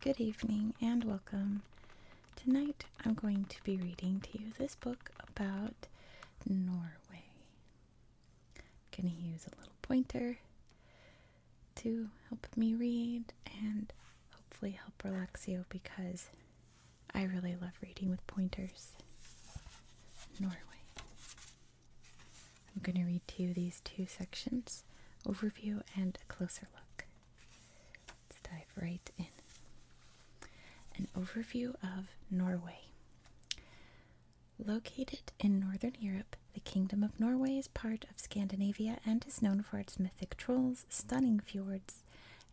Good evening and welcome. Tonight I'm going to be reading to you this book about Norway. I'm going to use a little pointer to help me read and hopefully help relax you because I really love reading with pointers. Norway. I'm going to read to you these two sections overview and a closer look. Let's dive right in. An overview of Norway. Located in northern Europe, the Kingdom of Norway is part of Scandinavia and is known for its mythic trolls, stunning fjords,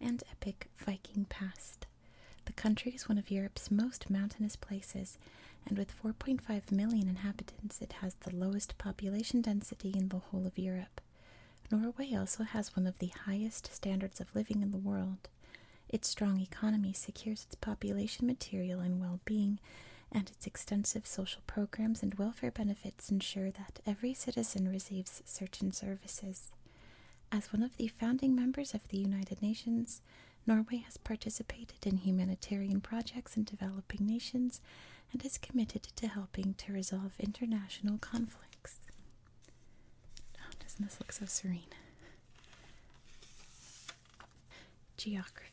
and epic Viking past. The country is one of Europe's most mountainous places, and with 4.5 million inhabitants, it has the lowest population density in the whole of Europe. Norway also has one of the highest standards of living in the world. Its strong economy secures its population material and well being, and its extensive social programs and welfare benefits ensure that every citizen receives certain services. As one of the founding members of the United Nations, Norway has participated in humanitarian projects in developing nations and is committed to helping to resolve international conflicts. Oh, doesn't this look so serene? Geography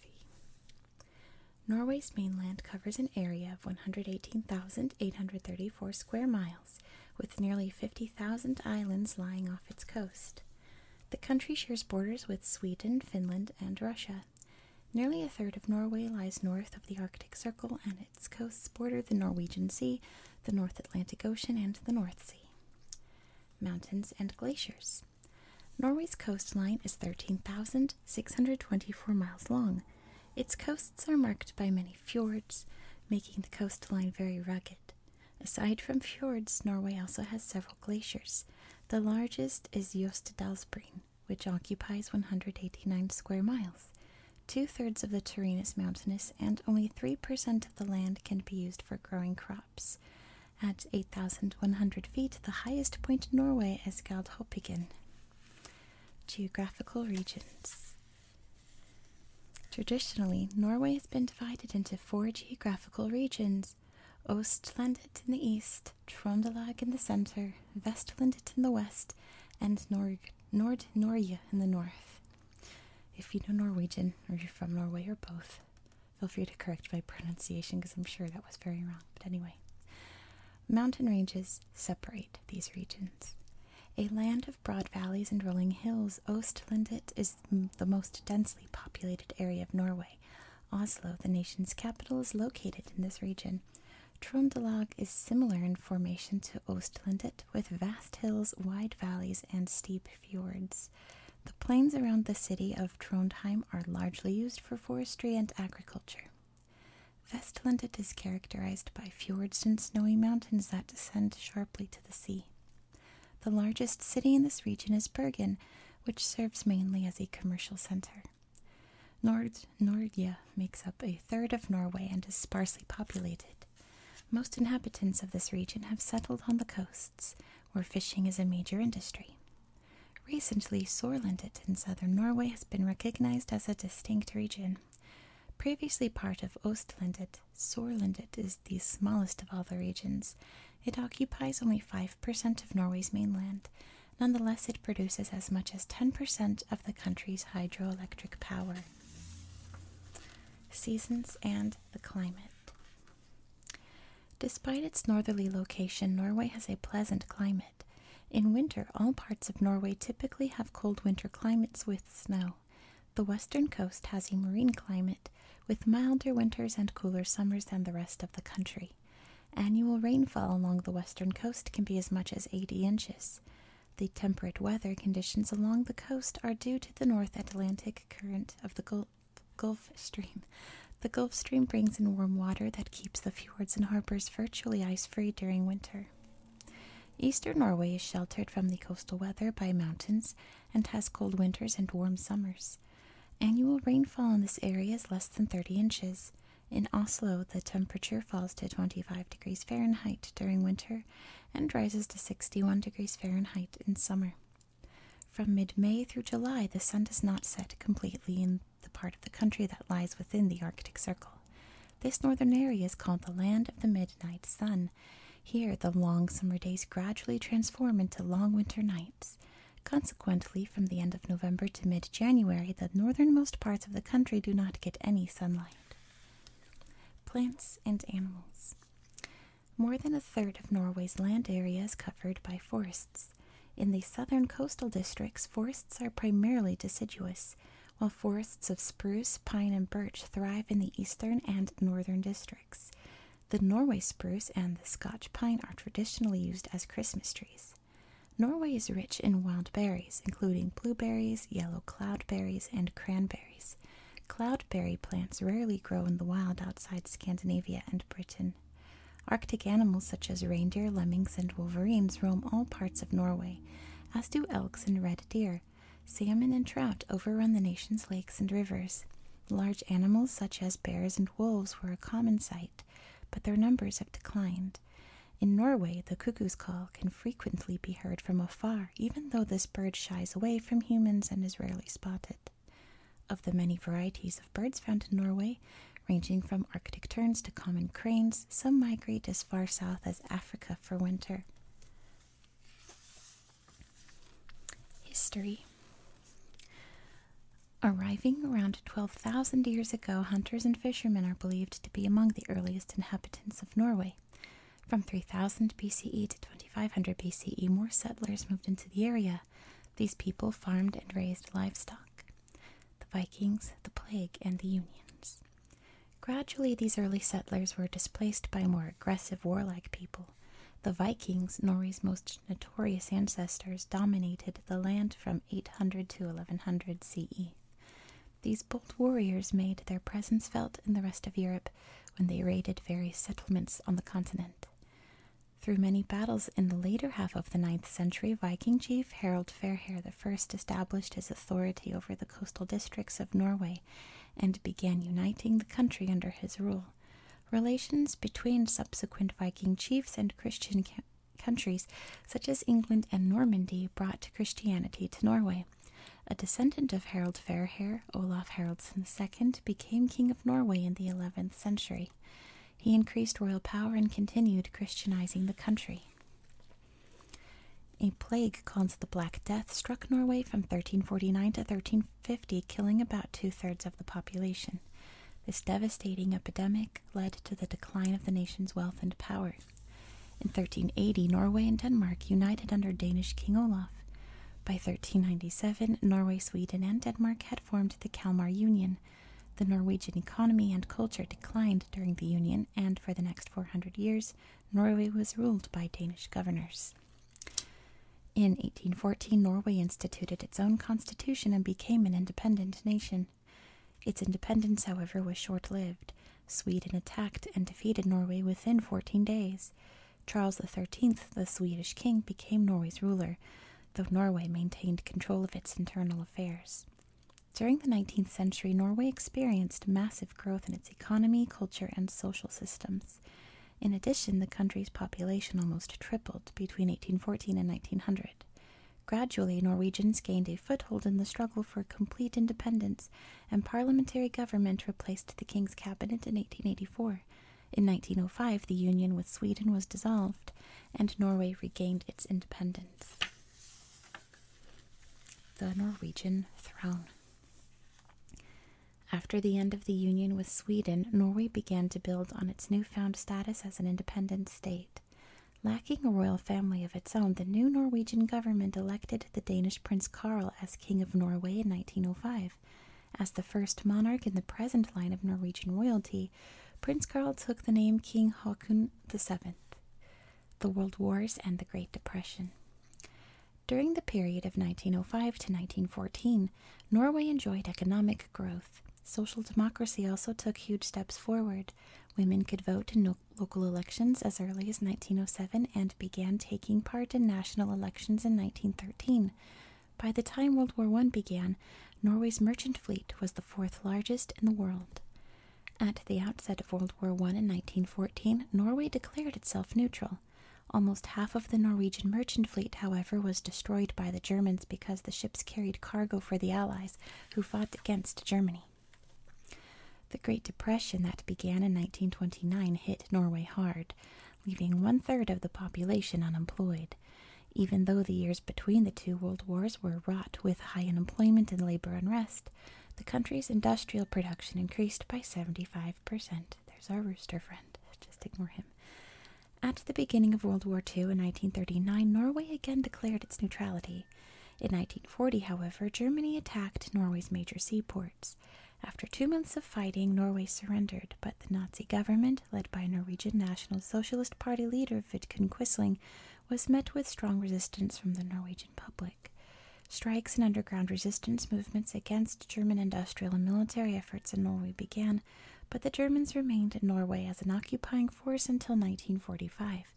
Norway's mainland covers an area of 118,834 square miles, with nearly 50,000 islands lying off its coast. The country shares borders with Sweden, Finland, and Russia. Nearly a third of Norway lies north of the Arctic Circle, and its coasts border the Norwegian Sea, the North Atlantic Ocean, and the North Sea. Mountains and glaciers. Norway's coastline is 13,624 miles long. Its coasts are marked by many many fjords, making the coastline very rugged. Aside from fjords, Norway also has several glaciers. The largest is Jostedalsbreen, which occupies 189 square miles. Two thirds of the terrain is mountainous, and only 3% of the land can be used for growing crops. At 8,100 feet, the highest point in Norway is Galdhøpiggen. Geographical regions Traditionally, Norway has been divided into four geographical regions Ostlandet in the east, Trondelag in the center, Vestlandet in the west, and Nord Norge in the north. If you know Norwegian, or you're from Norway, or both, feel free to correct my pronunciation because I'm sure that was very wrong. But anyway, mountain ranges separate these regions. A land of broad valleys and rolling hills, Ostlandet is the most densely populated area of Norway. Oslo, the nation's capital, is located in this region. Trondelag is similar in formation to Ostlandet, with vast hills, wide valleys, and steep fjords. The plains around the city of Trondheim are largely used for forestry and agriculture. Vestlandet is characterized by fjords and snowy mountains that descend sharply the sea. The largest city in this region is Bergen, which serves mainly as a commercial center. Nord Nordia makes up a third of Norway and is sparsely populated. Most inhabitants of this region have settled on the coasts, where fishing is a major industry. Recently, Sørlandet in southern Norway has been recognized as a distinct region. Previously part of Ostlandet, Sorelandet is the smallest of all the regions. It occupies only 5% of Norway's mainland. Nonetheless, it produces as much as 10% of the country's hydroelectric power. Seasons and the climate. Despite its northerly location, Norway has a pleasant climate. In winter, all parts of Norway typically have cold winter climates with snow. The western coast has a marine climate with milder winters and cooler summers than the rest of the country. Annual rainfall along the western coast can be as much as 80 inches. The temperate weather conditions along the coast are due to the North Atlantic current of the Gulf Stream. The Gulf Stream brings in warm water that keeps the fjords and harbors virtually ice free during winter. Eastern Norway is sheltered from the coastal weather by mountains and has cold winters and warm summers. Annual rainfall in this area is less than 30 inches. In Oslo, the temperature falls to 25 degrees Fahrenheit during winter and rises to 61 degrees Fahrenheit in summer. From mid May through July, the sun does not set completely in the part of the country that lies within the Arctic Circle. This northern area is called the Land of the Midnight Sun here, the long summer days gradually transform into long winter nights. Consequently, from the end of November to mid January, the northernmost parts of the country do not get any sunlight. Plants and animals. More than a third of Norway's land area is covered by forests. In the southern coastal districts, forests are primarily deciduous, while forests of spruce, pine, and birch thrive in the eastern and northern districts. The Norway spruce and the Scotch pine are traditionally used as Christmas trees. Norway is rich in wild berries, including blueberries, yellow cloudberries, and cranberries. Cloudberry plants rarely grow in the wild outside Scandinavia and Britain. Arctic animals such as reindeer, lemmings, and wolverines roam all parts of Norway, as do elks and red deer, Salmon and trout overrun the nation's lakes and rivers. Large animals such as bears and wolves were a common sight, but their numbers have declined. In Norway, the cuckoo's call can frequently be heard from afar, even though this bird shies away from humans and is rarely spotted. Of the many varieties of birds found in Norway, ranging from Arctic terns to common cranes, some migrate as far south as Africa for winter. History Arriving around 12,000 years ago, hunters and fishermen are believed to be among the earliest inhabitants of Norway. From 3000 BCE to 2500 BCE, more settlers moved into the area. These people farmed and raised livestock. The Vikings, the Plague, and the Unions. Gradually, these early settlers were displaced by more aggressive warlike people. The Vikings, Norway's most notorious ancestors, dominated the land from 800 to 1100 CE. These bold warriors made their presence felt in the rest of Europe when they raided various settlements on the continent. Through many battles in the later half of the ninth century, Viking chief Harald Fairhair I established his authority over the coastal districts of Norway and began uniting the country under his rule. Relations between subsequent Viking chiefs and Christian countries, such as England and Normandy, brought Christianity to Norway. A descendant of Harald Fairhair, Olaf Haraldsson II, became king of Norway in the 11th century. He increased royal power and continued Christianizing the country. A plague called the Black Death struck Norway from 1349 to 1350, killing about two thirds of the population. This devastating epidemic led to the decline of the nation's wealth and power. In 1380, Norway and Denmark united under Danish King Olaf. By 1397, Norway, Sweden, and Denmark had formed the Kalmar Union. The Norwegian economy and culture declined during the Union, and for the next 400 years, Norway was ruled by Danish governors. In 1814, Norway instituted its own constitution and became an independent nation. Its independence, however, was short lived. Sweden attacked and defeated Norway within 14 days. Charles XIII, the Swedish king, became Norway's ruler, though Norway maintained control of its internal affairs. During the 19th century, Norway experienced massive growth in its economy, culture, and social systems. In addition, the country's population almost tripled between 1814 and 1900. Gradually, Norwegians gained a foothold in the struggle for complete independence, and parliamentary government replaced the king's cabinet in 1884. In 1905, the union with Sweden was dissolved, and Norway regained its independence. The Norwegian Throne. After the end of the union with Sweden, Norway began to build on its newfound status as an independent state. Lacking a royal family of its own, the new Norwegian government elected the Danish Prince Karl as King of Norway in 1905. As the first monarch in the present line of Norwegian royalty, Prince Karl took the name King Haakon VII the World Wars, and the Great Depression. During the period of 1905 to 1914, Norway enjoyed economic growth. Social democracy also took huge steps forward. Women could vote in local elections as early as 1907 and began taking part in national elections in 1913. By the time World War I began, Norway's merchant fleet was the fourth largest in the world. At the outset of World War I in 1914, Norway declared itself neutral. Almost half of the Norwegian merchant fleet, however, was destroyed by the Germans because the ships carried cargo for the Allies, who fought against Germany. The Great Depression that began in 1929 hit Norway hard, leaving one third of the population unemployed. Even though the years between the two world wars were wrought with high unemployment and labor unrest, the country's industrial production increased by 75 there's our rooster friend. Just ignore him. At the beginning of World War II in 1939, Norway again declared its neutrality. In 1940, however, Germany attacked Norway's major seaports. After two months of fighting, Norway surrendered, but the Nazi government, led by Norwegian National Socialist Party leader Vidkun Quisling, was met with strong resistance from the Norwegian public. Strikes and underground resistance movements against German industrial and military efforts in Norway began, but the Germans remained in Norway as an occupying force until 1945.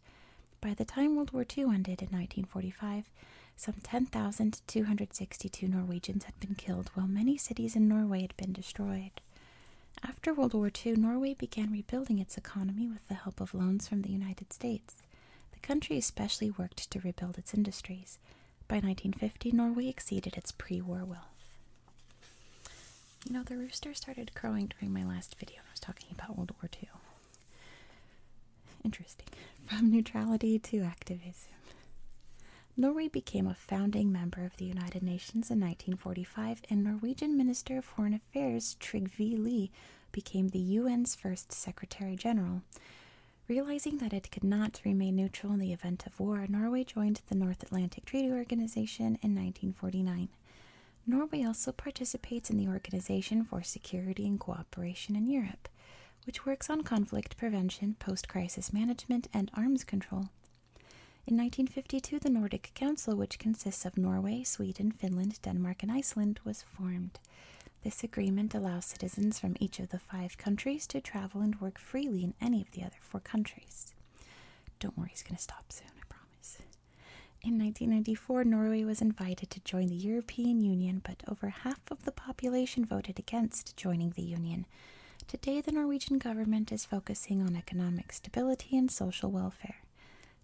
By the time World War II ended in 1945, some 10,262 Norwegians had been killed, while many cities in Norway had been destroyed. After World War II, Norway began rebuilding its economy with the help of loans from the United States. The country especially worked to rebuild its industries. By 1950, Norway exceeded its pre war wealth. You know, the rooster started crowing during my last video, when I was talking about World War II. Interesting. From neutrality to activism. Norway became a founding member of the United Nations in 1945, and Norwegian Minister of Foreign Affairs Trygve Lie became the UN's first Secretary General. Realizing that it could not remain neutral in the event of war, Norway joined the North Atlantic Treaty Organization in 1949. Norway also participates in the Organization for Security and Cooperation in Europe, which works on conflict prevention, post crisis management, and arms control. In 1952, the Nordic Council, which consists of Norway, Sweden, Finland, Denmark, and Iceland, was formed. This agreement allows citizens from each of the five countries to travel and work freely in any of the other four countries. Don't worry, he's going to stop soon, I promise. In 1994, Norway was invited to join the European Union, but over half of the population voted against joining the Union. Today, the Norwegian government is focusing on economic stability and social welfare.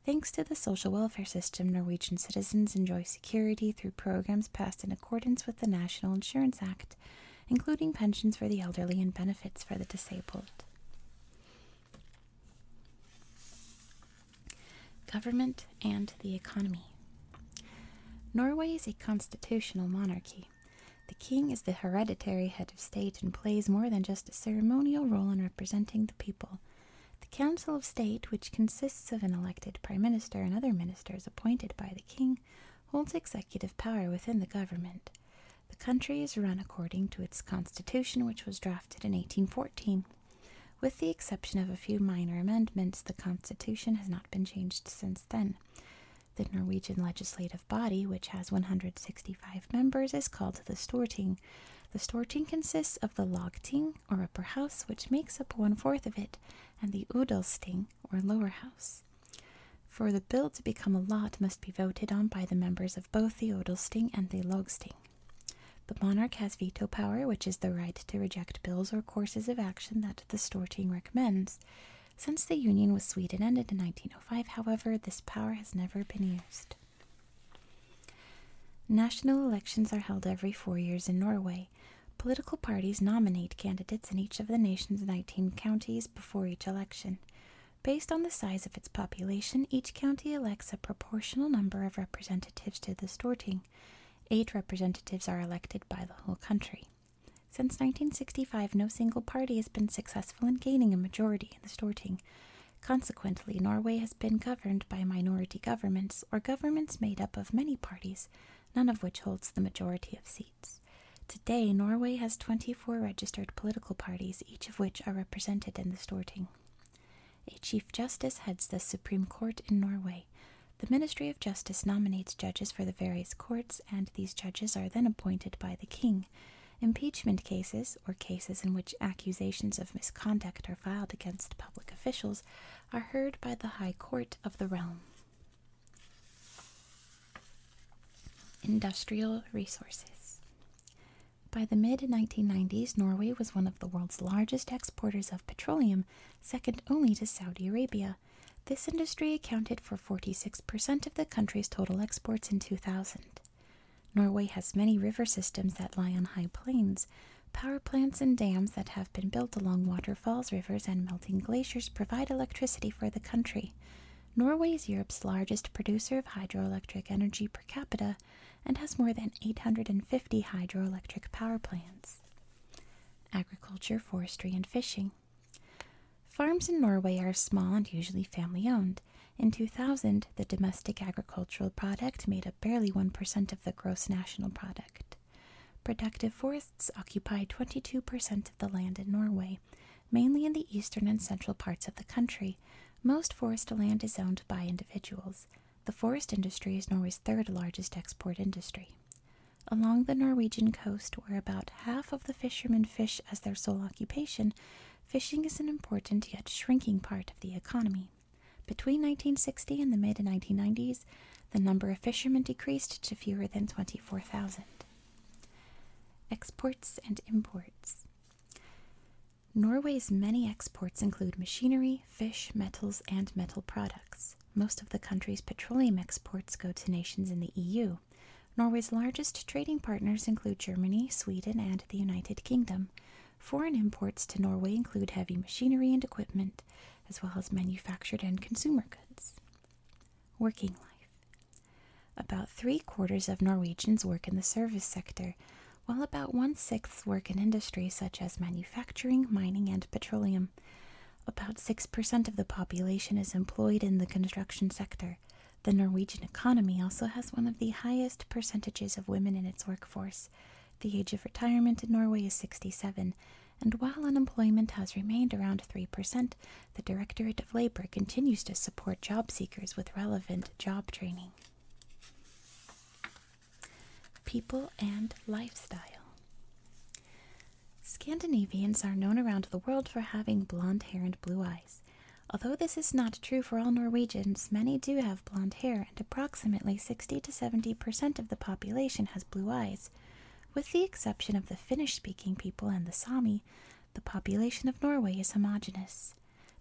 Thanks to the social welfare system, Norwegian citizens enjoy security through programs passed in accordance with the National Insurance Act, including pensions for the elderly and benefits for the disabled. Government and the economy. Norway is a constitutional monarchy. The king is the hereditary head of state and plays more than just a ceremonial role in representing the people. The Council of State, which consists of an elected Prime Minister and other ministers appointed by the King, holds executive power within the government. The country is run according to its constitution, which was drafted in 1814. With the exception of a few minor amendments, the constitution has not been changed since then. The Norwegian legislative body, which has 165 members, is called the Storting. The Storting consists of the Lagting, or upper house, which makes up one fourth of it, and the Udalsting, or lower house. For the bill to become a law, must be voted on by the members of both the Odelsting and the Logsting. The monarch has veto power, which is the right to reject bills or courses of action that the Storting recommends. Since the union with Sweden ended in 1905, however, this power has never been used. National elections are held every four years in Norway. Political parties nominate candidates in each of the nation's 19 counties before each election. Based on the size of its population, each county elects a proportional number of representatives to the Storting. Eight representatives are elected by the whole country. Since 1965, no single party has been successful in gaining a majority in the Storting. Consequently, Norway has been governed by minority governments or governments made up of many parties none of which holds the majority of seats. Today, Norway has 24 registered political parties, each of which are represented in the Storting. A Chief Justice heads the Supreme Court in Norway. The Ministry of Justice nominates judges for the various courts, and these judges are then appointed by the King. Impeachment cases, or cases in which accusations of misconduct are filed against public officials, are heard by the High Court of the realm. Industrial resources. By the mid 1990s, Norway was one of the world's largest exporters of petroleum, second only to Saudi Arabia. This industry accounted for 46% of the country's total exports in 2000. Norway has many river systems that lie on high plains, Power plants and dams that have been built along waterfalls, rivers, and melting glaciers provide electricity for the country. Norway is Europe's largest producer of hydroelectric energy per capita and has more than 850 hydroelectric power plants. Agriculture, forestry, and fishing. Farms in Norway are small and usually family owned. In 2000, the domestic agricultural product made up barely 1% of the gross national product. Productive forests occupy 22% of the land in Norway, mainly in the eastern and central parts of the country. Most forest land is owned by individuals. The forest industry is Norway's third largest export industry. Along the Norwegian coast, where about half of the fishermen fish as their sole occupation, fishing is an important yet shrinking part of the economy. Between 1960 and the mid 1990s, the number of fishermen decreased to fewer than 24,000. Exports and imports. Norway's many exports include machinery, fish, metals, and metal products. Most of the country's petroleum exports go to nations in the EU. Norway's largest trading partners include Germany, Sweden, and the United Kingdom. Foreign imports to Norway include heavy machinery and equipment, as well as manufactured and consumer goods. Working life. About three quarters of Norwegians work in the service sector, while about one sixth work in industry such as manufacturing, mining, and petroleum. About 6% of the population is employed in the construction sector. The Norwegian economy also has one of the highest percentages of women in its workforce. The age of retirement in Norway is 67, and while unemployment has remained around 3%, the Directorate of Labor continues to support job seekers with relevant job training. People and lifestyle. Scandinavians are known around the world for having blonde hair and blue eyes. Although this is not true for all Norwegians, many do have blonde hair and approximately 60 to 70 percent of the population has blue eyes. With the exception of the Finnish speaking people and the Sami, the population of Norway is homogeneous.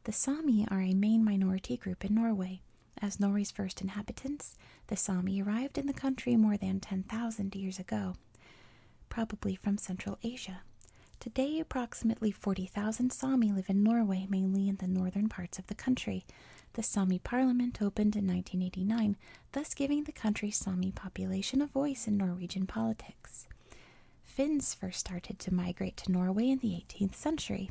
The Sami are a main minority group in Norway. As Norway's first inhabitants, the Sami arrived in the country more than 10,000 years ago, probably from Central Asia. Today, approximately 40,000 Sami live in Norway, mainly in the northern parts of the country, the Sami parliament opened in 1989, thus giving the country's Sami population a voice in Norwegian politics. Finns first started to migrate to Norway in the 18th century.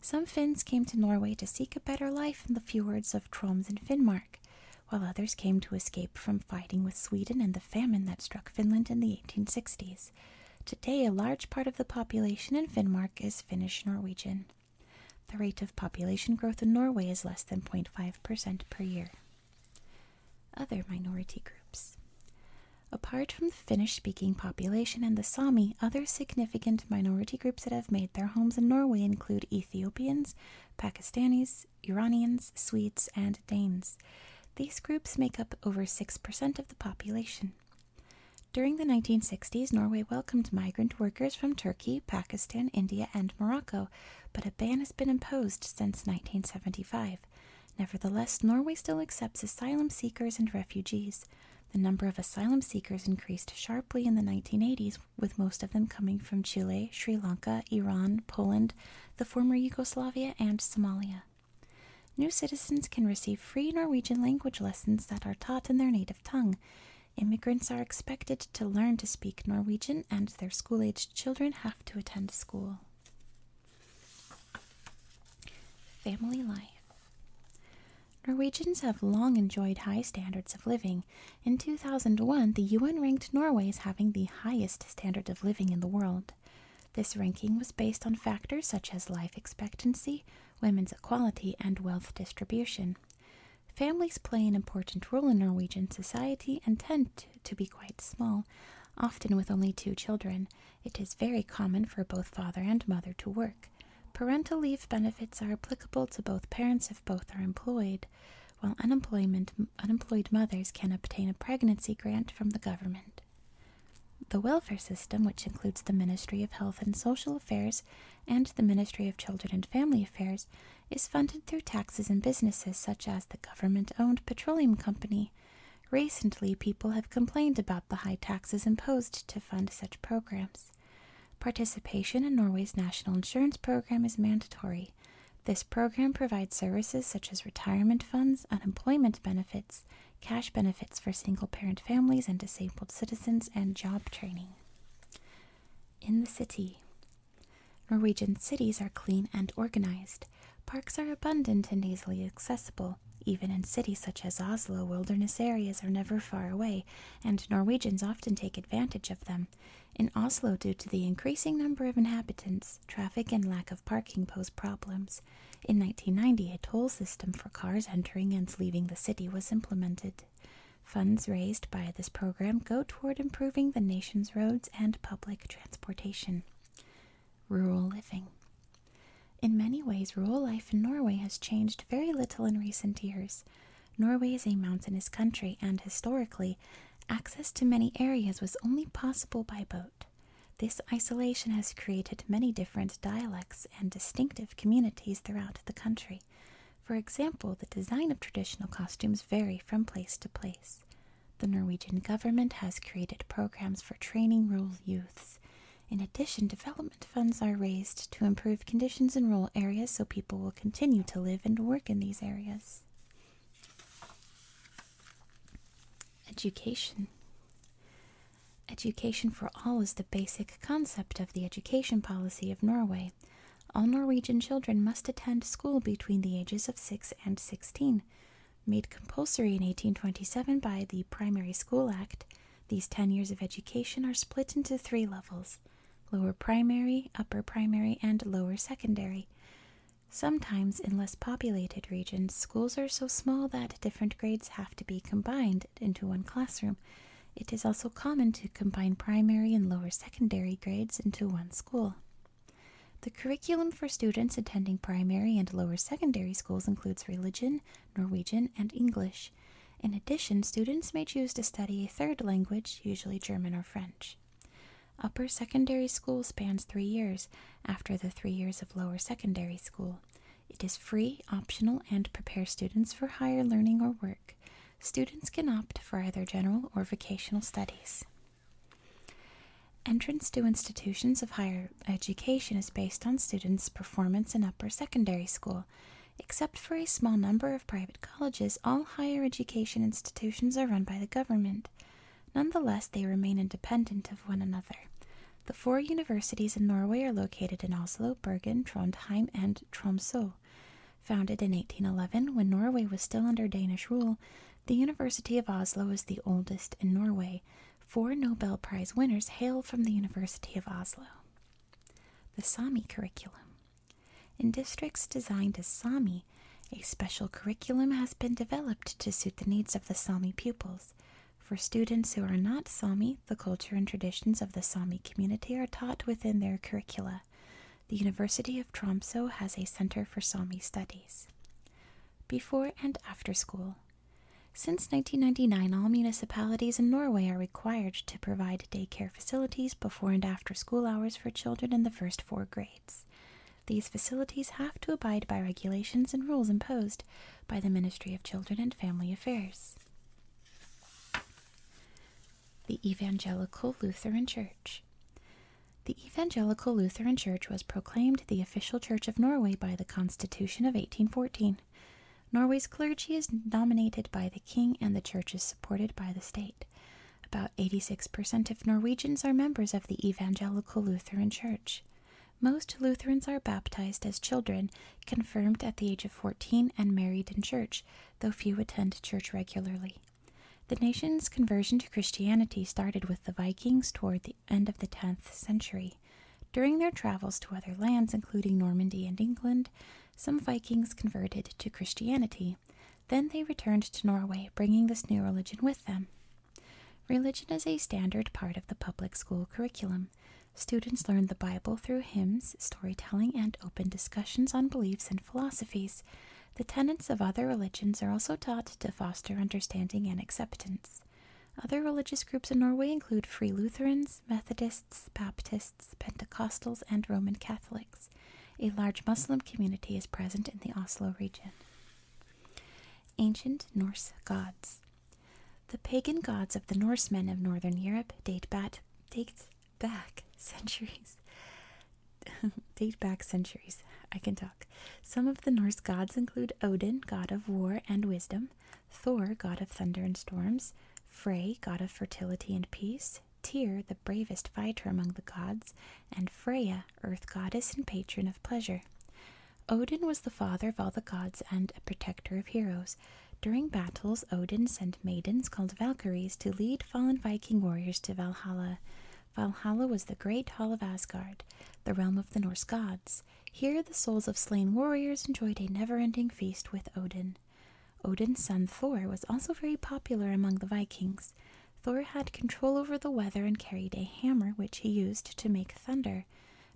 Some Finns came to Norway to seek a better life in the fjords of Troms and Finnmark, while others came to escape from fighting with Sweden and the famine that struck Finland in the 1860s. Today, a large part of the population in Finnmark is Finnish Norwegian. The rate of population growth in Norway is less than 0.5% per year. Other minority groups. Apart from the Finnish speaking population and the Sami, other significant minority groups that have made their homes in Norway include Ethiopians, Pakistanis, Iranians, Swedes, and Danes. These groups make up over 6% of the population. During the 1960s, Norway welcomed migrant workers from Turkey. Turkey, Pakistan, India, and Morocco, but a ban has been imposed since 1975. Nevertheless, Norway still accepts asylum seekers and refugees. The number of asylum seekers increased sharply in the 1980s, with most of them coming from Chile, Sri Lanka, Iran, Poland, the former Yugoslavia, and Somalia. New citizens can receive free Norwegian language lessons that are taught in their native tongue. Immigrants are expected to learn to speak Norwegian, and their school aged children have to attend school. Family life Norwegians have long enjoyed high standards of living. In 2001, the UN ranked Norway as having the highest standard of living in the world. This ranking was based on factors such as life expectancy, women's equality, and wealth distribution. Families play an important role in Norwegian society and tend to be quite small, often with only two children. It is very common for both father and mother to work. Parental leave benefits are applicable to both parents if both are employed, while unemployed mothers can obtain a pregnancy grant from the government. The welfare system, which includes the Ministry of Health and Social Affairs, and the Ministry of Children and Family Affairs is funded through taxes and businesses such as the government owned Petroleum Company. Recently, people have complained about the high taxes imposed to fund such programs. Participation in Norway's national insurance program is mandatory. This program provides services such as retirement funds, unemployment benefits, cash benefits for single parent families and disabled citizens, and job training. In the city, Norwegian cities are clean and organized. Parks are abundant and easily accessible. Even in cities such as Oslo, wilderness areas are never far away, and Norwegians often take advantage of them. In Oslo, due to the increasing number of inhabitants, traffic and lack of parking pose problems. In 1990, a toll system for cars entering and leaving the city was implemented. Funds raised by this program go toward improving the nation's roads and public transportation. Rural living. In many ways, rural life in Norway has changed very little in recent years. Norway is a mountainous country, and historically, access to many areas was only possible by boat. This isolation has created many different dialects and distinctive communities throughout the country. For example, the design of traditional costumes vary from place to place. The Norwegian government has created programs for training rural youths. In addition, development funds are raised to improve conditions in rural areas so people will continue to live and work in these areas. Education. Education for all is the basic concept of the education policy of Norway. All Norwegian children must attend school between the ages of 6 and 16. Made compulsory in 1827 by the Primary School Act, these 10 years of education are split into three levels lower primary, upper primary, and lower secondary. Sometimes, in less populated regions, schools are so small that different grades have to be combined into one classroom. It is also common to combine primary and lower secondary grades into one school. The curriculum for students attending primary and lower secondary schools includes religion, Norwegian, and English. In addition, students may choose to study a third language, usually German or French. Upper secondary school spans three years after the three years of lower secondary school. It is free, optional, and prepares students for higher learning or work students can opt for either general or vocational studies. Entrance to institutions of higher education is based on students' performance in upper secondary school. Except for a small number of private colleges, all higher education institutions are run by the government. Nonetheless, they remain independent of one another. The four universities in Norway are located in Oslo, Bergen, Trondheim, and Tromsø. Founded in 1811, when Norway was still under Danish rule, the University of Oslo is the oldest in Norway. Four Nobel Prize winners hail from the University of Oslo. The Sami curriculum. In districts designed as Sami, a special curriculum has been developed to suit the needs of the Sami pupils. For students who are not Sami, the culture and traditions of the Sami community are taught within their curricula. The University of Tromso has a center for Sami studies. Before and after school. Since 1999, all municipalities in Norway are required to provide daycare facilities before and after school hours for children in the first four grades. These facilities have to abide by regulations and rules imposed by the Ministry of Children and Family Affairs. The Evangelical Lutheran Church. The Evangelical Lutheran Church was proclaimed the official church of Norway by the Constitution of 1814. Norway's clergy is nominated by the king and the church is supported by the state. About 86% of Norwegians are members of the Evangelical Lutheran Church. Most Lutherans are baptized as children, confirmed at the age of 14, and married in church though few attend church regularly. The nation's conversion to Christianity started with the Vikings toward the end of the 10th century. During their travels to other lands, including Normandy and England, some Vikings converted to Christianity. Then they returned to Norway, bringing this new religion with them. Religion is a standard part of the public school curriculum. Students learn the Bible through hymns storytelling, and open discussions on beliefs and philosophies. The tenets of other religions are also taught to foster understanding and acceptance. Other religious groups in Norway include Free Lutherans, Methodists, Baptists, Pentecostals, and Roman Catholics. A large Muslim community is present in the Oslo region. Ancient Norse gods. The pagan gods of the Norsemen of Northern Europe date back, dates back centuries. Date back centuries. I can talk. Some of the Norse gods include Odin, god of war and wisdom, Thor, god of thunder and storms, Frey, god of fertility and peace, Tyr, the bravest fighter among the gods, and Freya, earth goddess and patron of pleasure. Odin was the father of all the gods and a protector of heroes. During battles, Odin sent maidens called Valkyries to lead fallen Viking warriors to Valhalla. Valhalla was the great hall of Asgard, the realm of the Norse gods. Here, the souls of slain warriors enjoyed a never ending feast with Odin. Odin's son Thor was also very popular among the Vikings. Thor had control over the weather and carried a hammer which he used to make thunder.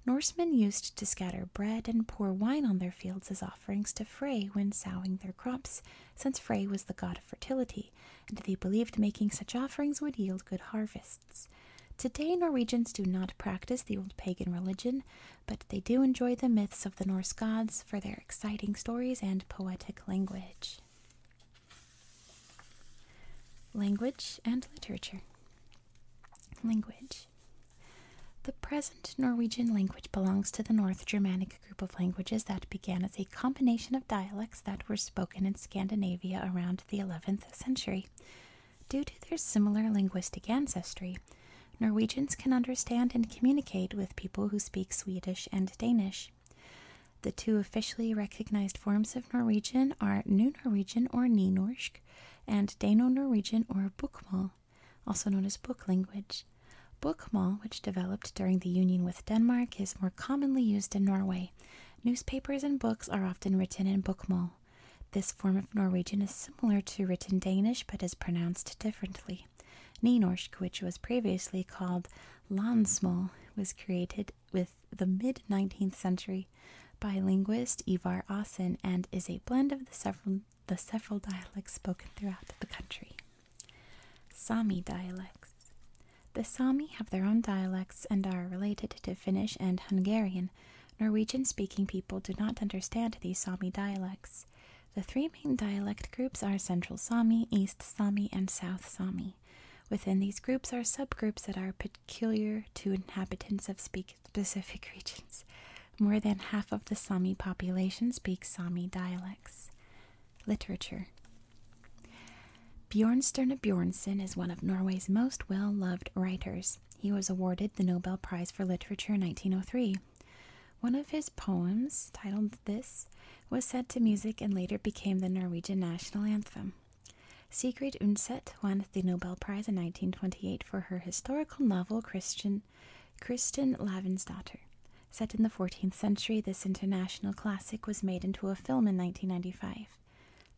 Norsemen used to scatter bread and pour wine on their fields as often offerings to Frey when sowing their crops, since Frey was the god of fertility, and they believed making such offerings would yield good harvests. Today, Norwegians do not practice the old pagan religion, but they do enjoy the myths of the Norse gods for their exciting stories and poetic language. Language and literature. Language. The present Norwegian language belongs to the North Germanic group of languages that began as a combination of dialects that were spoken in Scandinavia around the 11th century. Due to their similar linguistic ancestry, Norwegians can understand and communicate with people who speak Swedish and Danish. The two officially recognized forms of Norwegian are New Norwegian or Nynorsk and Dano Norwegian or Bokmål also known as book language. Bookmål, which developed during the union with Denmark, is more commonly used in Norway. Newspapers and books are often written in bookmål. This form of Norwegian is similar to written Danish but is pronounced differently. Nynorsk, which was previously called Landsmål, was created with the mid 19th century by linguist Ivar Aasen and is a blend of the several the several dialects spoken throughout the country. Sami dialects. The Sami have their own dialects and are related to Finnish and Hungarian. Norwegian speaking people do not understand these Sami dialects. The three main dialect groups are Central Sami, East Sami, and South Sami. Within these groups are subgroups that are peculiar to inhabitants of specific regions. More than half of the Sami population speaks Sami dialects. Literature Bjornstjerne Bjornson is one of Norway's most well loved writers. He was awarded the Nobel Prize for Literature in 1903. One of his poems, titled This, was set to music and later became the Norwegian national anthem. Sigrid Undset won the Nobel Prize in 1928 for her historical novel Christian Kristin Kristen Lavin's Set in the 14th century, this international classic was made into a film in 1995.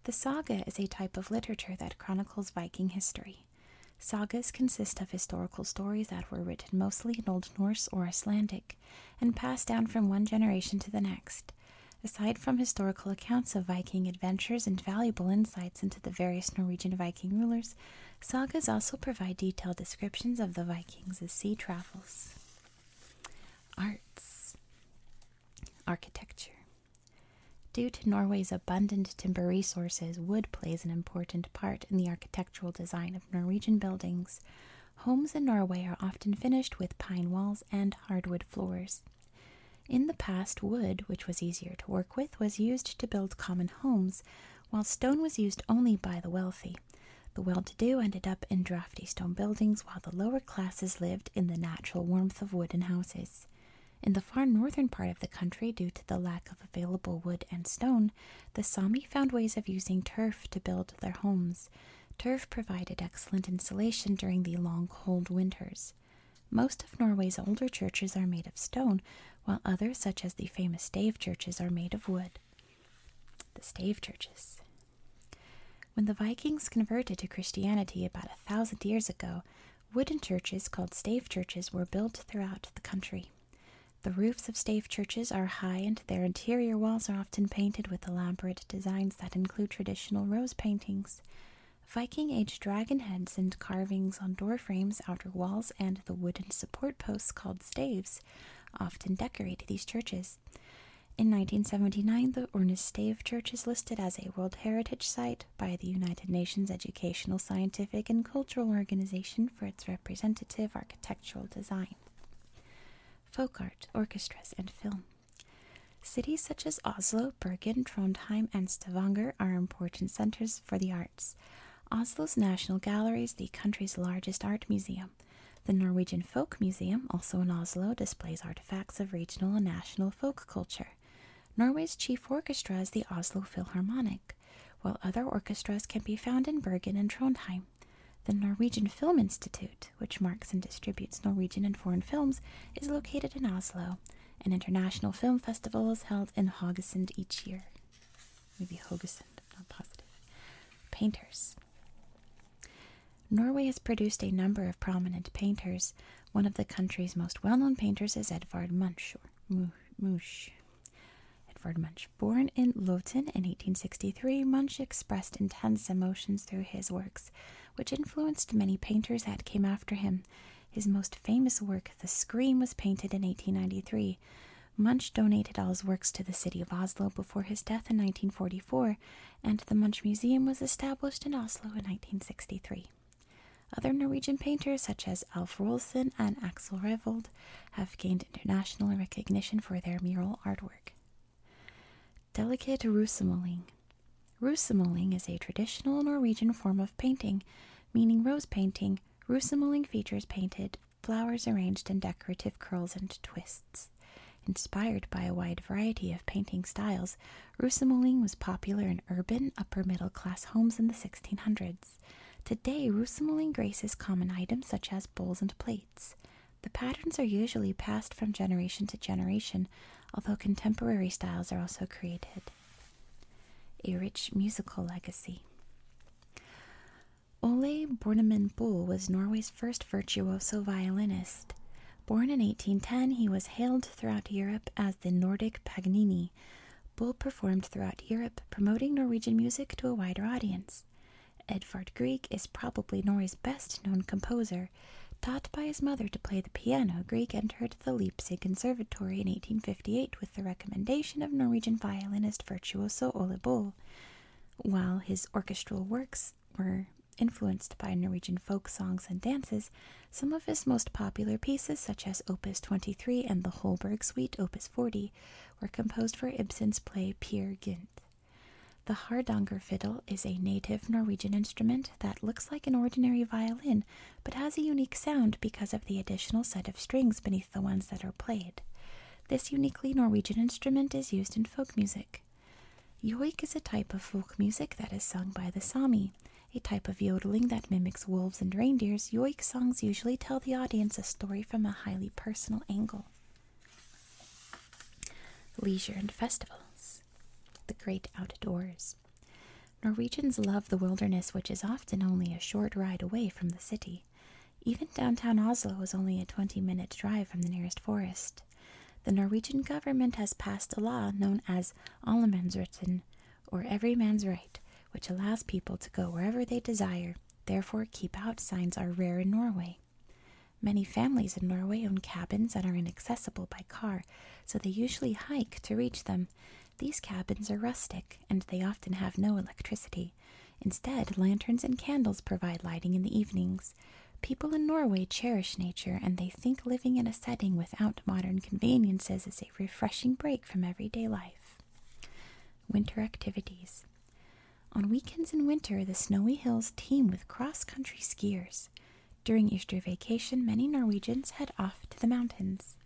The saga is a type of literature that chronicles Viking history. Sagas consist of historical stories that were written mostly in Old Norse or Icelandic and passed down from one generation to the next. Aside from historical accounts of Viking adventures and valuable insights into the various Norwegian Viking rulers, sagas also provide detailed descriptions of the Vikings' sea travels. Arts Architecture Due to Norway's abundant timber resources, wood plays an important part in the architectural design of Norwegian buildings. Homes in Norway are often finished with pine walls and hardwood floors. In the past, wood, which was easier to work with, was used to build common homes, while stone was used only by the wealthy, the well to do ended up in drafty stone buildings, while the lower classes lived in the natural warmth of wooden houses. In the far northern part of the country, due to the lack of available wood and stone, the Sami found ways of using turf to build their homes. Turf provided excellent insulation during the long cold winters. Most of Norway's older churches are made of stone, while others, such as the famous stave churches, are made of wood. The stave churches. When the Vikings converted to Christianity about a thousand years ago, wooden churches called stave churches were built throughout the country. The roofs of stave churches are high and their interior walls are often painted with elaborate designs that include traditional rose paintings, Viking age dragon heads, and carvings on door frames, outer walls, and the wooden support posts called staves often decorate these churches. In 1979, the Ornish Stave Church is listed as a World Heritage Site by the United Nations Educational, Scientific, and Cultural Organization for its representative architectural design. Folk art, orchestras, and film. Cities such as Oslo, Bergen, Trondheim, and Stavanger are important centers for the arts. Oslo's National Gallery is the country's largest art museum. The Norwegian Folk Museum, also in Oslo, displays artifacts of regional and national folk culture. Norway's chief orchestra is the Oslo Philharmonic, while other orchestras can be found in Bergen and Trondheim. The Norwegian Film Institute, which marks and distributes Norwegian and foreign films, is located in Oslo. An international film festival is held in Hogesund each year. Maybe Haugesund. I'm not positive. Painters. Norway has produced a number of prominent painters. One of the country's most well-known painters is Edvard Munch. Or Munch. Edvard Munch. Born in Loten in 1863, Munch expressed intense emotions through his works, which influenced many painters that came after him. His most famous work, The Scream, was painted in 1893. Munch donated all his works to the city of Oslo before his death in 1944, and the Munch Museum was established in Oslo in 1963. Other Norwegian painters, such as Alf Rolsen and Axel Revold, have gained international recognition for their mural artwork. Delicate Rusemeling. Rusemeling is a traditional Norwegian form of painting, meaning rose painting. Rusemeling features painted flowers arranged in decorative curls and twists. Inspired by a wide variety of painting styles, roussemoling was popular in urban, upper middle class homes in the 1600s. Today, roussemoling graces common items such as bowls and plates. The patterns are usually passed from generation to generation, although contemporary styles are also created. A rich musical legacy. Ole Bornemann Bull was Norway's first virtuoso violinist. Born in 1810, he was hailed throughout Europe as the Nordic Paganini. Bull performed throughout Europe, promoting Norwegian music to a wider audience. Edvard Grieg is probably Norway's best known composer. Taught by his mother to play the piano, Grieg entered the Leipzig Conservatory in 1858 with the recommendation of Norwegian violinist Virtuoso Ole Bull, while his orchestral works were influenced by Norwegian folk songs and dances, some of his most popular pieces, such as Opus 23 and the Holberg Suite Opus 40, were composed for Ibsen's play Peer Gynt. The Hardanger fiddle is a native Norwegian instrument that looks like an ordinary violin but has a unique sound because of the additional set of strings beneath the ones that are played. This uniquely Norwegian instrument is used in folk music. Yoik is a type of folk music that is sung by the Sami, a type of yodeling that mimics wolves and reindeers. Yoik songs usually tell the audience a story from a highly personal angle. Leisure and festivals. The great outdoors. Norwegians love the wilderness, which is often only a short ride away from the city. Even downtown Oslo is only a 20 minute drive from the nearest forest. The Norwegian government has passed a law known as Allemannsretten, or Every Man's Right, which allows people to go wherever they desire. Therefore, keep out signs are rare in Norway. Many families in Norway own cabins that are inaccessible by car, so they usually hike to reach them. These cabins are rustic and they often have no electricity. Instead, lanterns and candles provide lighting in the evenings. People in Norway cherish nature and they think living in a setting without modern conveniences is a refreshing break from everyday life. Winter activities. On weekends in winter, the snowy hills teem with cross country skiers. During Easter vacation, many Norwegians head off to the mountains.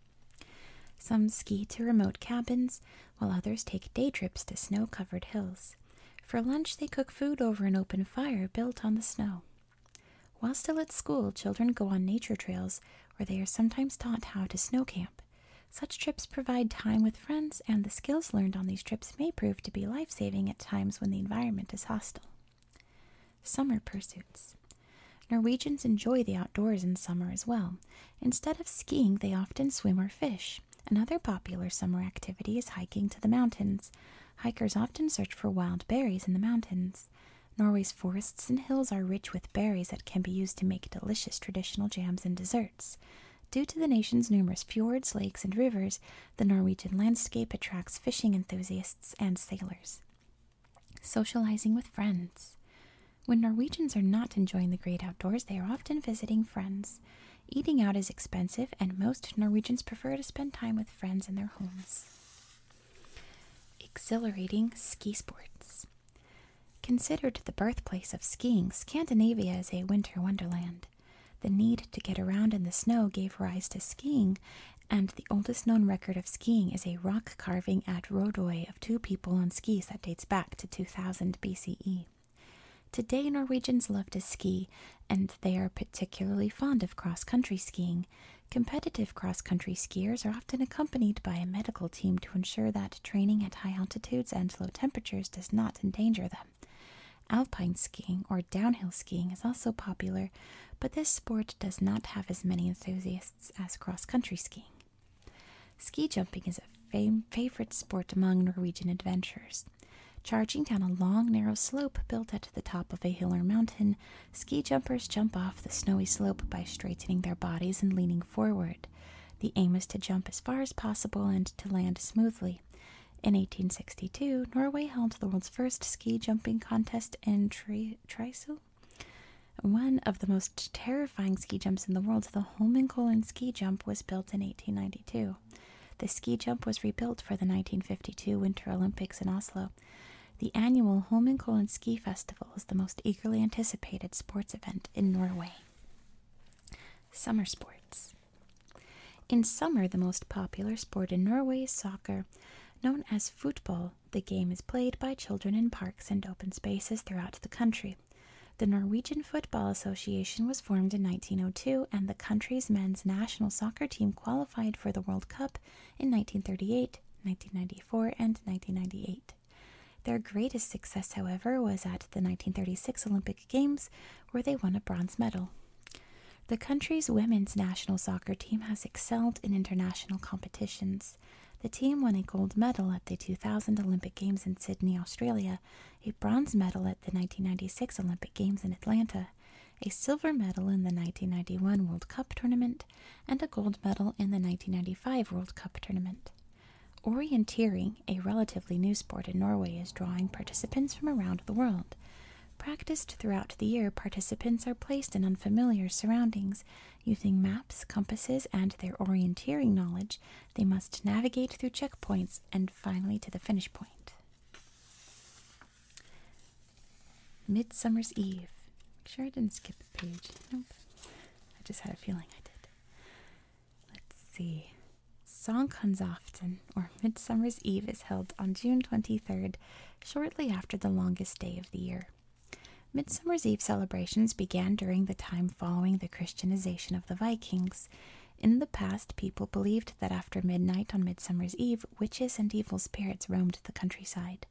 Some ski to remote cabins, while others take day trips to snow covered hills. For lunch, they cook food over an open fire built on the snow. While still at school, children go on nature trails where they are sometimes taught how to snow camp. Such trips provide time with friends, and the skills learned on these trips may prove to be life saving at times when the environment is hostile. Summer pursuits. Norwegians enjoy the outdoors in summer as well. Instead of skiing, they often swim or fish. Another popular summer activity is hiking to the mountains. Hikers often search for wild berries in the mountains. Norway's forests and hills are rich with berries that can be used to make delicious traditional jams and desserts. Due to the nation's numerous fjords, lakes, and rivers, the Norwegian landscape attracts fishing enthusiasts and sailors. Socializing with friends. When Norwegians are not enjoying the great outdoors, they are often visiting friends. Eating out is expensive, and most Norwegians prefer to spend time with friends in their homes. Exhilarating ski sports. Considered the birthplace of skiing, Scandinavia is a winter wonderland. The need to get around in the snow gave rise to skiing, and the oldest known record of skiing is a rock carving at Rodoy of two people on skis that dates back to 2000 BCE. Today, Norwegians love to ski, and they are particularly fond of cross country skiing. Competitive cross country skiers are often accompanied by a medical team to ensure that training at high altitudes and low temperatures does not endanger them. Alpine skiing or downhill skiing is also popular, but this sport does not have as many enthusiasts as cross country skiing. Ski jumping is a favorite sport among Norwegian adventurers. Charging down a long, narrow slope built at the top of a hill or mountain, ski jumpers jump off the snowy slope by straightening their bodies and leaning forward. The aim is to jump as far as possible and to land smoothly. In 1862, Norway held the world's first ski jumping contest in Tri one of the most terrifying ski jumps in the world, the Holmenkollen ski jump, was built in 1892. The ski jump was rebuilt for the 1952 Winter Olympics in Oslo. The annual Holmenkollen Ski Festival is the most eagerly anticipated sports event in Norway. Summer sports. In summer, the most popular sport in Norway is soccer. Known as football, the game is played by children in parks and open spaces throughout the country, the Norwegian Football Association was formed in 1902, and the country's men's national soccer team qualified for the World Cup in 1938, 1994, and 1998. Their greatest success, however, was at the 1936 Olympic Games, where they won a bronze medal. The country's women's national soccer team has excelled in international competitions. The team won a gold medal at the 2000 Olympic Games in Sydney, Australia, a bronze medal at the 1996 Olympic Games in Atlanta, a silver medal in the 1991 World Cup tournament, and a gold medal in the 1995 World Cup tournament. Orienteering, a relatively new sport in Norway, is drawing participants from around the world. Practiced throughout the year, participants are placed in unfamiliar surroundings using maps, compasses, and their orienteering knowledge they must navigate through checkpoints and finally to the finish point. Midsummer's Eve. Make sure I didn't skip a page. Nope. I just had a feeling I did. Let's see. often, or Midsummer's Eve, is held on June 23rd, shortly after the longest day of the year. Midsummer's Eve celebrations began during the time following the Christianization of the Vikings. In the past, people believed that after midnight on Midsummer's Eve, witches and evil spirits roamed the countryside.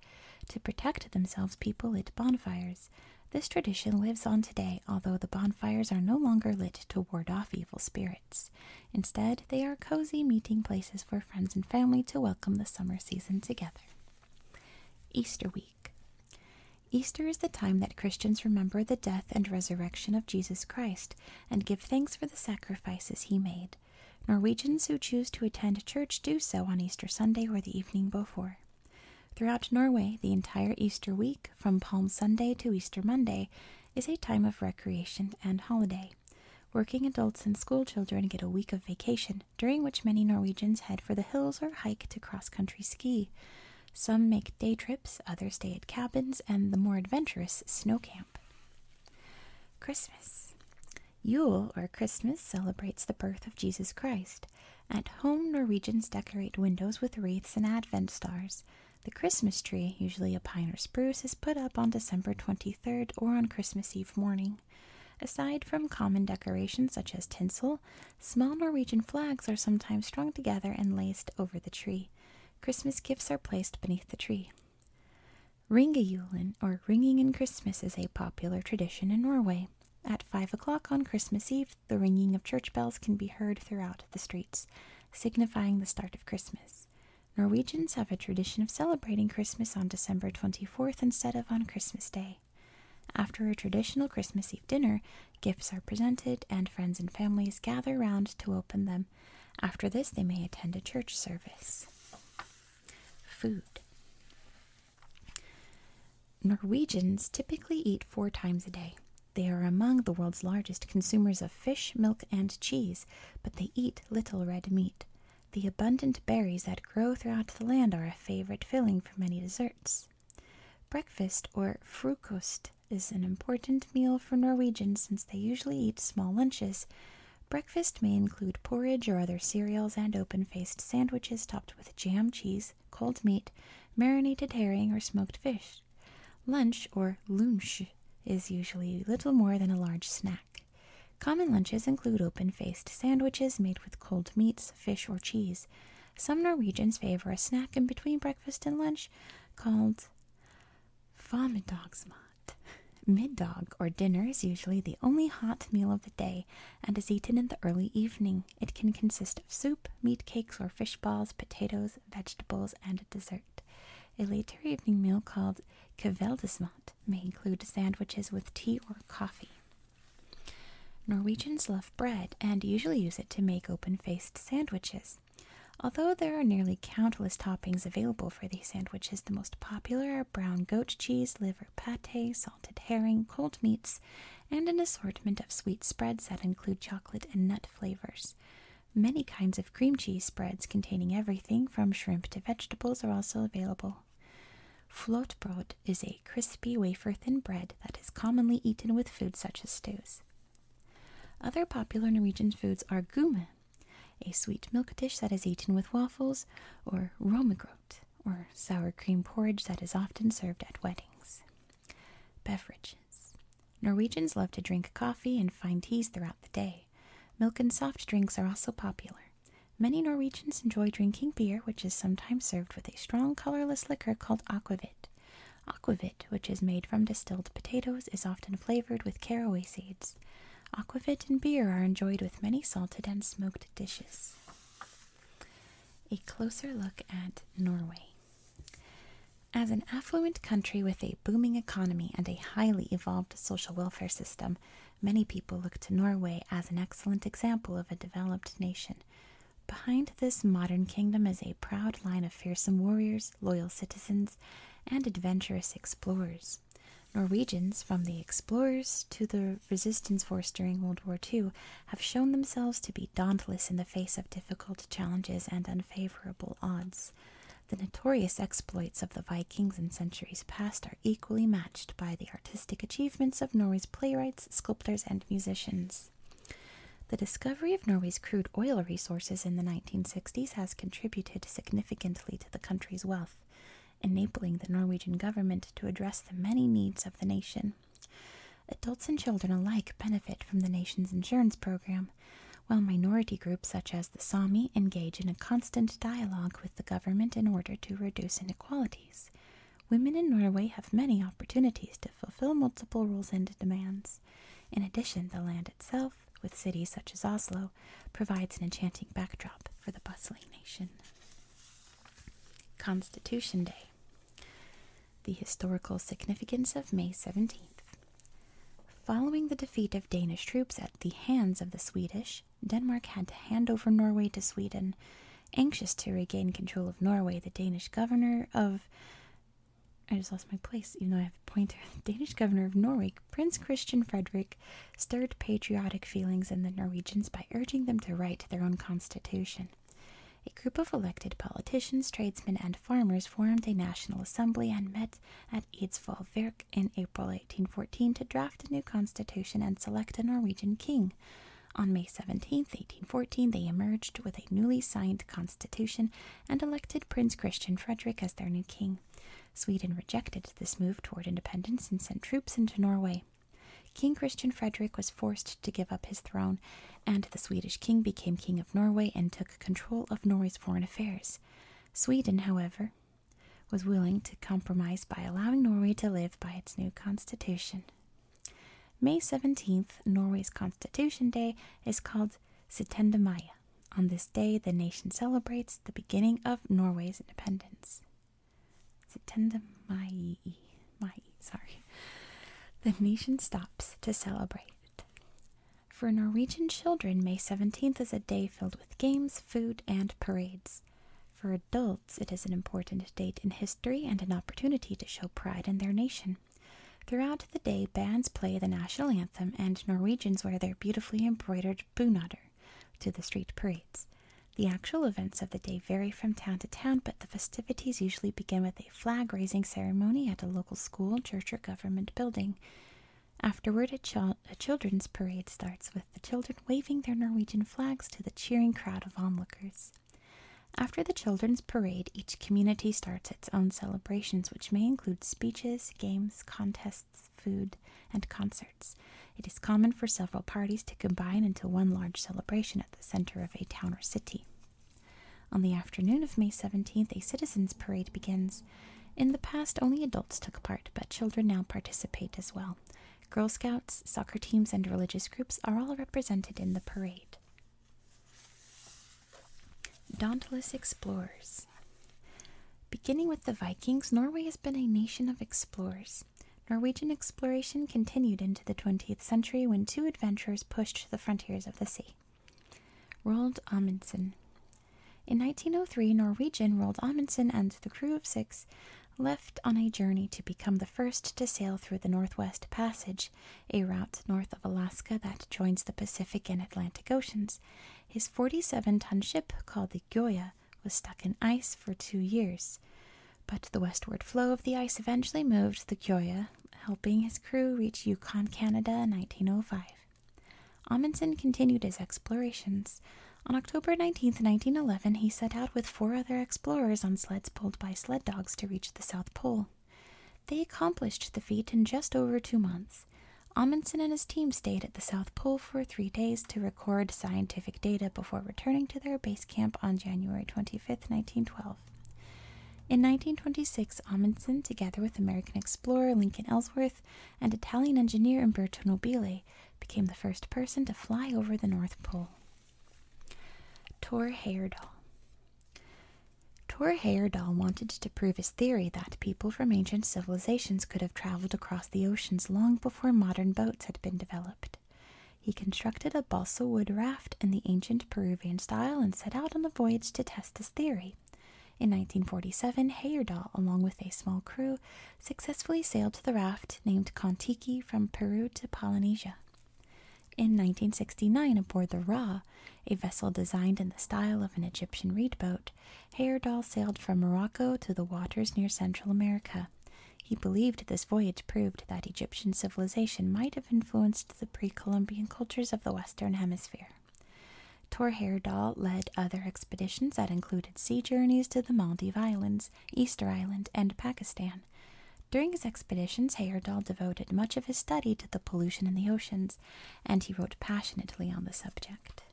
To protect themselves, people lit bonfires. This tradition lives on today, although the bonfires are no longer lit to ward off evil spirits. Instead, they are cozy meeting places for friends and family to welcome the summer season together. Easter week. Easter is the time that Christians remember the death and resurrection of Jesus Christ and give thanks for the sacrifices he made. Norwegians who choose to attend church do so on Easter Sunday or the evening before. Throughout Norway, the entire Easter week, from Palm Sunday to Easter Monday, is a time of recreation and holiday. Working adults and school children get a week of vacation, during which many Norwegians head for the hills or hike to cross country ski. Some make day trips, others stay at cabins, and the more adventurous snow camp. Christmas. Yule, or Christmas, celebrates the birth of Jesus Christ. At home, Norwegians decorate windows with wreaths and advent stars. The Christmas tree, usually a pine or spruce, is put up on December 23rd or on Christmas Eve morning. Aside from common decorations such as tinsel, Small Norwegian flags are sometimes strung together and laced over the tree. Christmas gifts are placed beneath the tree. Ringejulen, or ringing in Christmas, is a popular tradition in Norway. At five o'clock on Christmas Eve, the ringing of church bells can be heard throughout the streets, signifying the start of Christmas. Norwegians have a tradition of celebrating Christmas on December 24th instead of on Christmas Day. After a traditional Christmas Eve dinner, gifts are presented and friends and families gather round to open them. After this, they may attend a church service. Food Norwegians typically eat four times a day. They are among the world's largest consumers of fish, milk, and cheese, but they eat little red meat. The abundant berries that grow throughout the land are a favorite filling for many desserts. Breakfast or frukost is an important meal for Norwegians since they usually eat small lunches. Breakfast may include porridge or other cereals and open-faced sandwiches topped with jam, cheese, cold meat, marinated herring, or smoked fish. Lunch or lunsj is usually little more than a large snack. Common lunches include open-faced sandwiches made with cold meats, fish, or cheese. Some Norwegians favor a snack in between breakfast and lunch called Fomiddagsmat. Middag or dinner is usually the only hot meal of the day and is eaten in the early evening. It can consist of soup, meat cakes or fish balls, potatoes, vegetables, and a dessert. A later evening meal called kveldesmat may include sandwiches with tea or coffee. Norwegians love bread and usually use it to make open faced sandwiches. Although there are nearly countless toppings available for these sandwiches, the most popular are brown goat cheese, liver pate, salted herring, cold meats, and an assortment of sweet spreads that include chocolate and nut flavors. Many kinds of cream cheese spreads containing everything from shrimp to vegetables are also available. Flotbrot is a crispy wafer thin bread that is commonly eaten with food such as stews. Other popular Norwegian foods are gume, a sweet milk dish that is eaten with waffles, or romegrot, or sour cream porridge that is often served at weddings. Beverages Norwegians love to drink coffee and fine teas throughout the day. Milk and soft drinks are also popular. Many Norwegians enjoy drinking beer, which is sometimes served with a strong colorless liquor called aquavit aquavit. which is made from distilled potatoes, is often flavored with caraway seeds. Aquavit and beer are enjoyed with many salted and smoked dishes. A closer look at Norway. As an affluent country with a booming economy and a highly evolved social welfare system, many people look to Norway as an excellent example of a developed nation. Behind this modern kingdom is a proud line of fearsome warriors, loyal citizens, and adventurous explorers. Norwegians, from the explorers to the resistance force during World War II, have shown themselves to be dauntless in the face of difficult challenges and unfavorable odds. The notorious exploits of the Vikings in centuries past are equally matched by the artistic achievements of Norway's playwrights, sculptors, and musicians. The discovery of Norway's crude oil resources in the 1960s has contributed significantly to the country's wealth, enabling the Norwegian government to address the many needs of the nation. Adults and children alike benefit from the nation's insurance program, while minority groups such as the Sami engage in a constant dialogue with the government in order to reduce inequalities. Women in Norway have many opportunities to fulfill multiple rules and demands. In addition, the land itself, with cities such as Oslo, provides an enchanting backdrop for the bustling nation. Constitution Day. The historical significance of May 17th. Following the defeat of Danish troops at the hands of the Swedish, Denmark had to hand over Norway to Sweden Anxious to regain control of Norway, the Danish governor of. I just lost my place, even though I have the pointer. The Danish governor of Norway, Prince Christian Frederick, stirred patriotic feelings in the Norwegians by urging them to write their own constitution. A group of elected politicians, tradesmen, and farmers formed a national assembly and met at Eidsvollverk in April 1814 to draft a new constitution and select a Norwegian king. On May 17, 1814, they emerged with a newly signed constitution and elected Prince Christian Frederick as their new king. Sweden rejected this move toward independence and sent troops into Norway. King Christian Frederick was forced to give up his throne, and the Swedish king became king of Norway and took control of Norway's foreign affairs. Sweden, however, was willing to compromise by allowing Norway to live by its new constitution. May 17th, Norway's Constitution Day, is called Sitendamaya. On this day, the nation celebrates the beginning of Norway's independence. Sitendamai, mai, sorry. The nation stops to celebrate. For Norwegian children, May 17th is a day filled with games, food, and parades. For adults, it is an important day in history and an opportunity to show pride in their nation. Throughout the day, bands play the national anthem, and Norwegians wear their beautifully embroidered bunader to the street parades. The actual events of the day vary from town to town, but the festivities usually begin with a flag raising ceremony at a local school, church, or government building. Afterward, a children's parade starts with the children waving their Norwegian flags to the cheering crowd of onlookers. After the children's parade, each community starts its own celebrations, which may include speeches, games, contests, food, and concerts. It is common for several parties to combine into one large celebration at the center of a town or city. On the afternoon of May 17th, a citizens' parade begins. In the past, only adults took part, but children now participate as well. Girl Scouts, soccer teams, and religious groups are all represented in the parade. Dauntless Explorers. Beginning with the Vikings, Norway has been a nation of explorers. Norwegian exploration continued into the 20th century when two adventurers pushed the frontiers of the sea. Roald Amundsen. In 1903, Norwegian Roald Amundsen and the crew of six left on a journey to become the first to sail through the Northwest Passage a route north of Alaska that joins the Pacific and Atlantic Oceans, his 47 ton ship called the Gyoya was stuck in ice for two years. But the westward flow of the ice eventually moved the Gyoya, helping his crew reach Yukon, Canada in 1905. Amundsen continued his explorations. On October 19, 1911, he set out with four other explorers on sleds pulled by sled dogs to reach the South Pole. They accomplished the feat in just over two months. Amundsen and his team stayed at the South Pole for three days to record scientific data before returning to their base camp on January 25, 1912. In 1926, Amundsen, together with American explorer Lincoln Ellsworth and Italian engineer Umberto Nobile, became the first person to fly over the North Pole. Tor Heyerdahl. Tor Heyerdahl wanted to prove his theory that people from ancient civilizations could have traveled across the oceans long before modern boats had been developed. He constructed a balsa wood raft in the ancient Peruvian style and set out on a voyage to test his theory. In 1947, Heyerdahl, along with a small crew, successfully sailed to the raft named Kontiki from Peru to Polynesia. In 1969, aboard the Ra, a vessel designed in the style of an Egyptian reed boat, Heyerdahl sailed from Morocco to the waters near Central America. He believed this voyage proved that Egyptian civilization might have influenced the pre Columbian cultures of the Western Hemisphere. Tor Heyerdahl led other expeditions that included sea journeys to the Maldives Islands, Easter Island, and Pakistan. During his expeditions, Heyerdahl devoted much of his study to the pollution in the oceans, and he wrote passionately on the subject.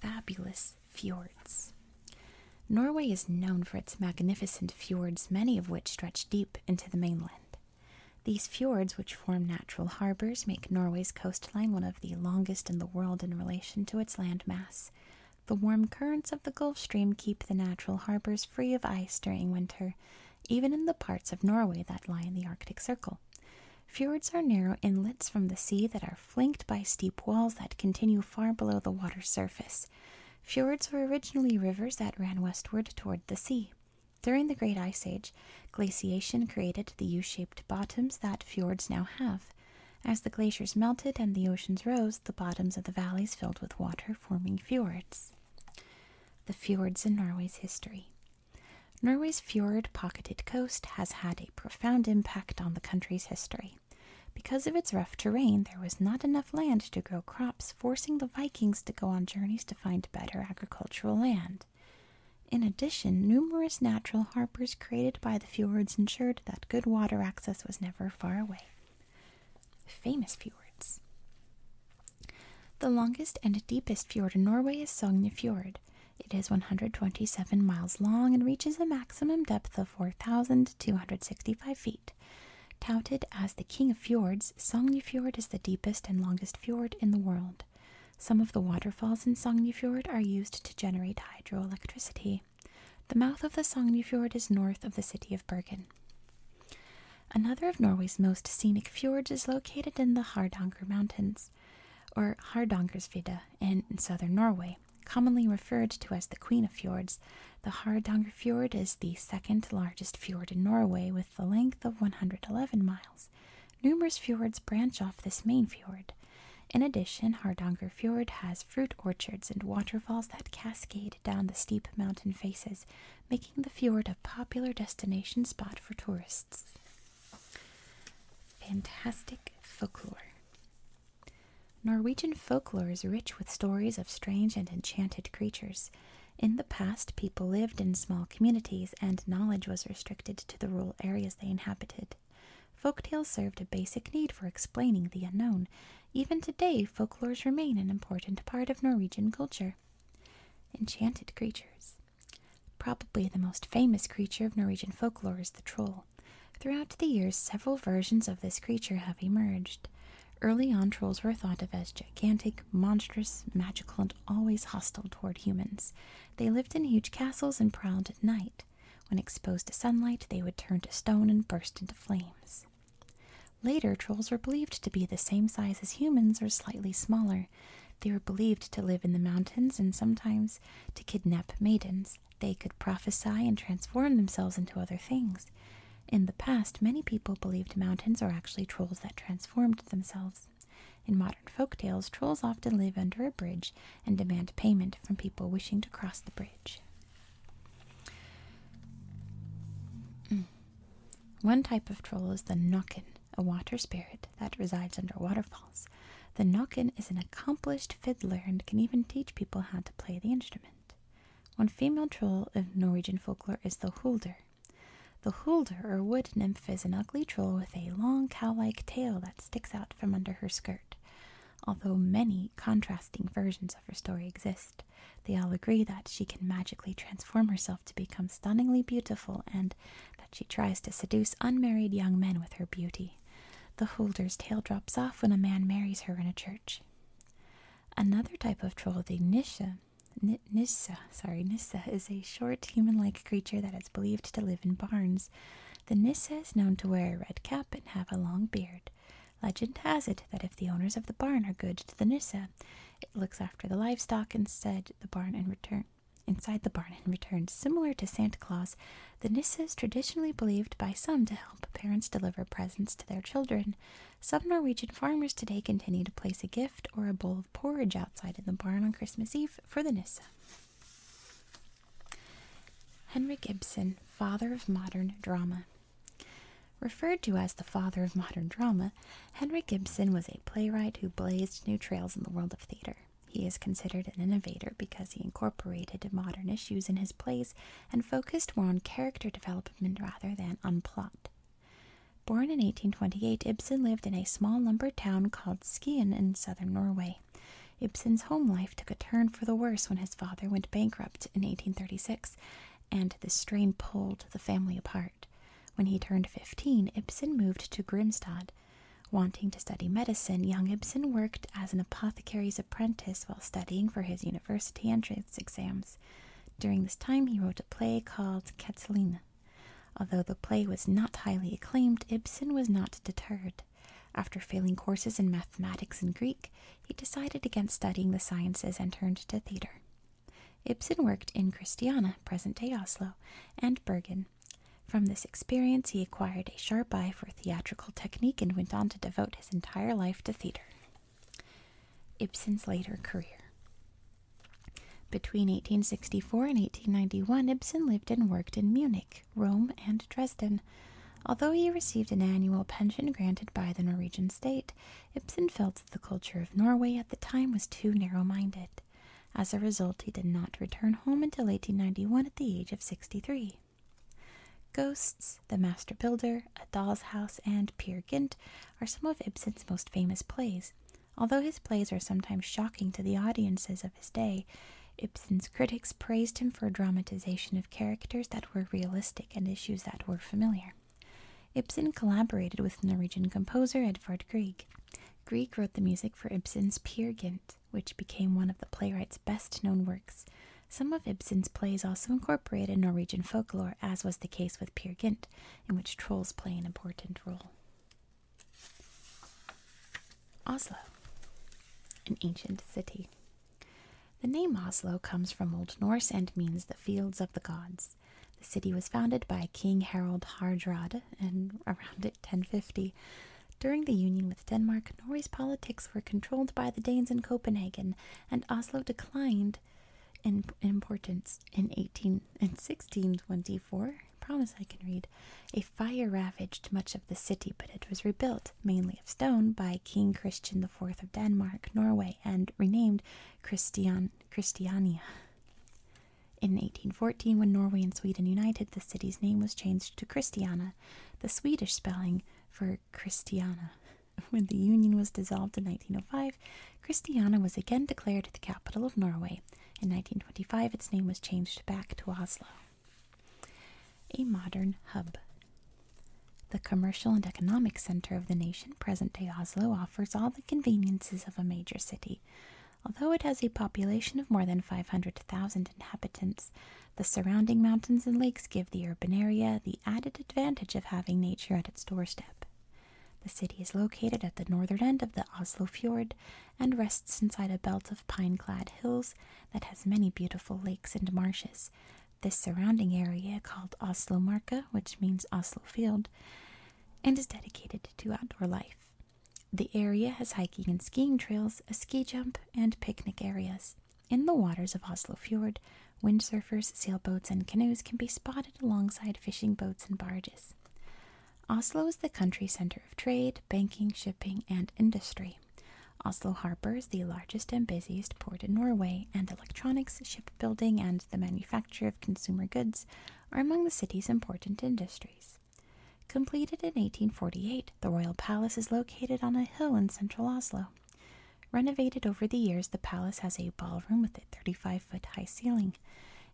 Fabulous Fjords Norway is known for its magnificent fjords, many of which stretch deep into the mainland. These fjords, which form natural harbors, make Norway's coastline one of the longest in the world in relation to its land mass. The warm currents of the Gulf Stream keep the natural harbors free of ice during winter, even in the parts of Norway that lie in the Arctic Circle. Fjords are narrow inlets from the sea that are flanked by steep walls that continue far below the water's surface. Fjords were originally rivers that ran westward toward the sea. During the Great Ice Age, glaciation created the U shaped bottoms that fjords now have. As the glaciers melted and the oceans rose, the bottoms of the valleys filled with water forming fjords. The fjords in Norway's history. Norway's fjord pocketed coast has had a profound impact on the country's history. Because of its rough terrain, there was not enough land to grow crops, forcing the Vikings to go on journeys to find better agricultural land. In addition, numerous natural harbors created by the fjords ensured that good water access was never far away. Famous fjords. The longest and deepest fjord in Norway is Sognefjord. Fjord. It is 127 miles long and reaches a maximum depth of 4,265 feet. Touted as the king of fjords, Sognefjord is the deepest and longest fjord in the world. Some of the waterfalls in Sognefjord are used to generate hydroelectricity. The mouth of the Sognefjord is north of the city of Bergen. Another of Norway's most scenic fjords is located in the Hardanger Mountains, or Hardangersvidda, in southern Norway. Commonly referred to as the Queen of Fjords, the Hardangerfjord is the second largest fjord in Norway with a length of 111 miles. Numerous fjords branch off this main fjord. In addition, Hardangerfjord Fjord has fruit orchards and waterfalls that cascade down the steep mountain faces, making the fjord a popular destination spot for tourists. Fantastic folklore. Norwegian folklore is rich with stories of strange and enchanted creatures. In the past, people lived in small communities and knowledge was restricted to the rural areas they inhabited. Folk tales served a basic need for explaining the unknown even today, folklores remain an important part of Norwegian culture. Enchanted creatures. Probably the most famous creature of Norwegian folklore is the troll. Throughout the years, several versions of this creature have emerged. Early on, trolls were thought of as gigantic, monstrous, magical, and always hostile toward humans. They lived in huge castles and prowled at night. When exposed to sunlight, they would turn to stone and burst into flames. Later, trolls were believed to be the same size as humans or slightly smaller. They were believed to live in the mountains and sometimes to kidnap maidens. They could prophesy and transform themselves into other things. In the past, many people believed mountains are actually trolls that transformed themselves. In modern folk tales, trolls often live under a bridge and demand payment from people wishing to cross the bridge. Mm. One type of troll is the Nokin, a water spirit that resides under waterfalls. The Nokin is an accomplished fiddler and can even teach people how to play the instrument. One female troll of Norwegian folklore is the Hulder. The Hulder, or wood nymph, is an ugly troll with a long cow like tail that sticks out from under her skirt. Although many contrasting versions of her story exist, they all agree that she can magically transform herself to become stunningly beautiful and that she tries to seduce unmarried young men with her beauty. The holder's tail drops off when a man marries her in a church. Another type of troll, the Nisha, N Nissa, sorry, Nissa is a short human-like creature that is believed to live in barns. The Nissa is known to wear a red cap and have a long beard. Legend has it that if the owners of the barn are good to the nisse, it looks after the livestock instead the barn in return inside the barn in return. Similar to Santa Claus, the Nissa is traditionally believed by some to help parents deliver presents to their children. Some Norwegian farmers today continue to place a gift or a bowl of porridge outside in the barn on Christmas Eve for the nisse. Henrik Ibsen, father of modern drama. Referred to as the father of modern drama, Henry Gibson was a playwright who blazed new trails in the world of theater. He is considered an innovator because he incorporated modern issues in his plays and focused more on character development rather than on plot. Born in 1828, Ibsen lived in a small lumber town called Skien in southern Norway. Ibsen's home life took a turn for the worse when his father went bankrupt in 1836 and this strain pulled the family apart. When he turned 15, Ibsen moved to Grimstad. Wanting to study medicine, young Ibsen worked as an apothecary's apprentice while studying for his university entrance exams. During this time, he wrote a play called Catalina. Although the play was not highly acclaimed, Ibsen was not deterred. After failing courses in mathematics and Greek, he decided against studying the sciences and turned to theater. Ibsen worked in Christiana, present day Oslo, and Bergen. From this experience, he acquired a sharp eye for theatrical technique and went on to devote his entire life to theater. Ibsen's later career. Between 1864 and 1891, Ibsen lived and worked in Munich, Rome, and Dresden. Although he received an annual pension granted by the Norwegian state, Ibsen felt that the culture of Norway at the time was too narrow minded. As a result, he did not return home until 1891 at the age of 63. Ghosts, The Master Builder, A Doll's House, and Peer Gynt are some of Ibsen's most famous plays. Although his plays are sometimes shocking to the audiences of his day, Ibsen's critics praised him for a dramatization of characters that were realistic and issues that were familiar. Ibsen collaborated with Norwegian composer Edvard Grieg. Grieg wrote the music for Ibsen's Peer Gynt, which became one of the playwright's best known works. Some of Ibsen's plays also incorporated Norwegian folklore, as was the case with Peer Gynt, in which trolls play an important role. Oslo, an ancient city. The name Oslo comes from Old Norse and means the fields of the gods. The city was founded by King Harald Hardrada in around 1050. During the union with Denmark, Norway's politics were controlled by the Danes in Copenhagen, and Oslo declined in importance in 18 promise I can read. A fire ravaged much of the city, but it was rebuilt mainly of stone by King Christian IV of Denmark, Norway, and renamed Christiania. In 1814, when Norway and Sweden united, the city's name was changed to Christiana, the Swedish spelling for Christiana. When the union was dissolved in 1905, Christiana was again declared the capital of Norway. In 1925, its name was changed back to Oslo. A modern hub. The commercial and economic center of the nation, present day Oslo, offers all the conveniences of a major city. Although it has a population of more than 500,000 inhabitants, the surrounding mountains and lakes give the urban area the added advantage of having nature at its doorstep. The city is located at the northern end of the Oslo Fjord and rests inside a belt of pine clad hills that has many beautiful lakes and marshes, the surrounding area, called Oslomarka, which means Oslo Field, and is dedicated to outdoor life. The area has hiking and skiing trails, a ski jump, and picnic areas. In the waters of Oslo Fjord, windsurfers, sailboats, and canoes can be spotted alongside fishing boats and barges. Oslo is the country center of trade, banking, shipping, and industry. Oslo Harbor is the largest and busiest port in Norway, and electronics, shipbuilding, and the manufacture of consumer goods are among the city's important industries. Completed in 1848, the royal palace is located on a hill in central Oslo. Renovated over the years, the palace has a ballroom with a 35 foot high ceiling.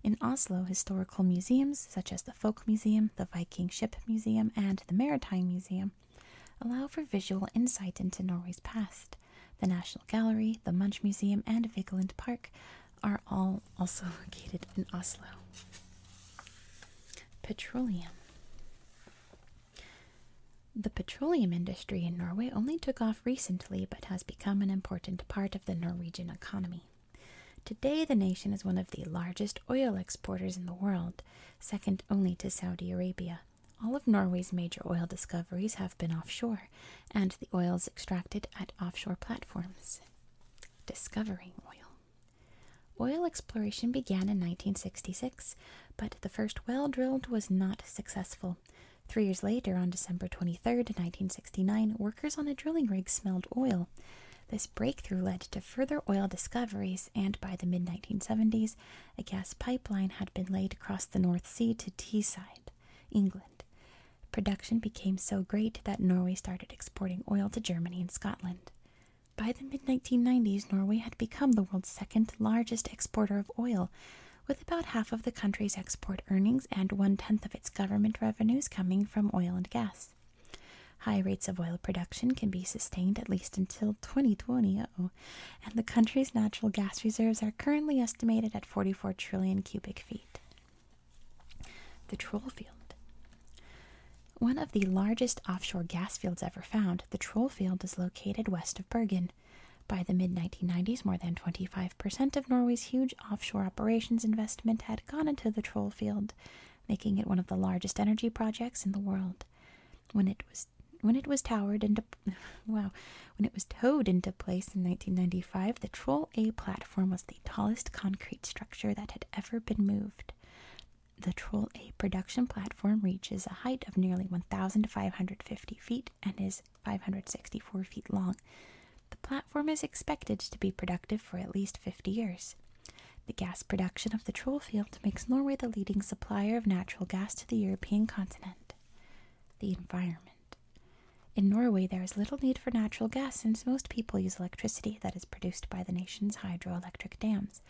In Oslo, historical museums such as the Folk Museum, the Viking Ship Museum, and the Maritime Museum allow for visual insight into Norway's past. The National Gallery, the Munch Museum, and Vigeland Park are all also located in Oslo. Petroleum. The petroleum industry in Norway only took off recently but has become an important part of the Norwegian economy. Today, the nation is one of the largest oil exporters in the world, second only to Saudi Arabia. All of Norway's major oil discoveries have been offshore, and the oil is extracted at offshore platforms. Discovering oil. Oil exploration began in 1966, but the first well drilled was not successful. Three years later, on December 23, 1969, workers on a drilling rig smelled oil. This breakthrough led to further oil discoveries, and by the mid 1970s, a gas pipeline had been laid across the North Sea to Teesside, England. Production became so great that Norway started exporting oil to Germany and Scotland. By the mid 1990s, Norway had become the world's second largest exporter of oil, with about half of the country's export earnings and one tenth of its government revenues coming from oil and gas. High rates of oil production can be sustained at least until 2020 and the country's natural gas reserves are currently estimated at 44 trillion cubic feet. The Troll Field. One of the largest offshore gas fields ever found, the Troll Field is located west of Bergen. By the mid 1990s, more than 25% of Norway's huge offshore operations investment had gone into the Troll Field, making it one of the largest energy projects in the world. When it was when it was towered into wow, when it was towed into place in 1995, the Troll A platform was the tallest concrete structure that had ever been moved. The Troll A production platform reaches a height of nearly 1,550 feet and is 564 feet long. The platform is expected to be productive for at least 50 years. The gas production of the Troll field makes Norway the leading supplier of natural gas to the European continent. The environment. In Norway, there is little need for natural gas since most people use electricity that is produced by the nation's hydroelectric dams.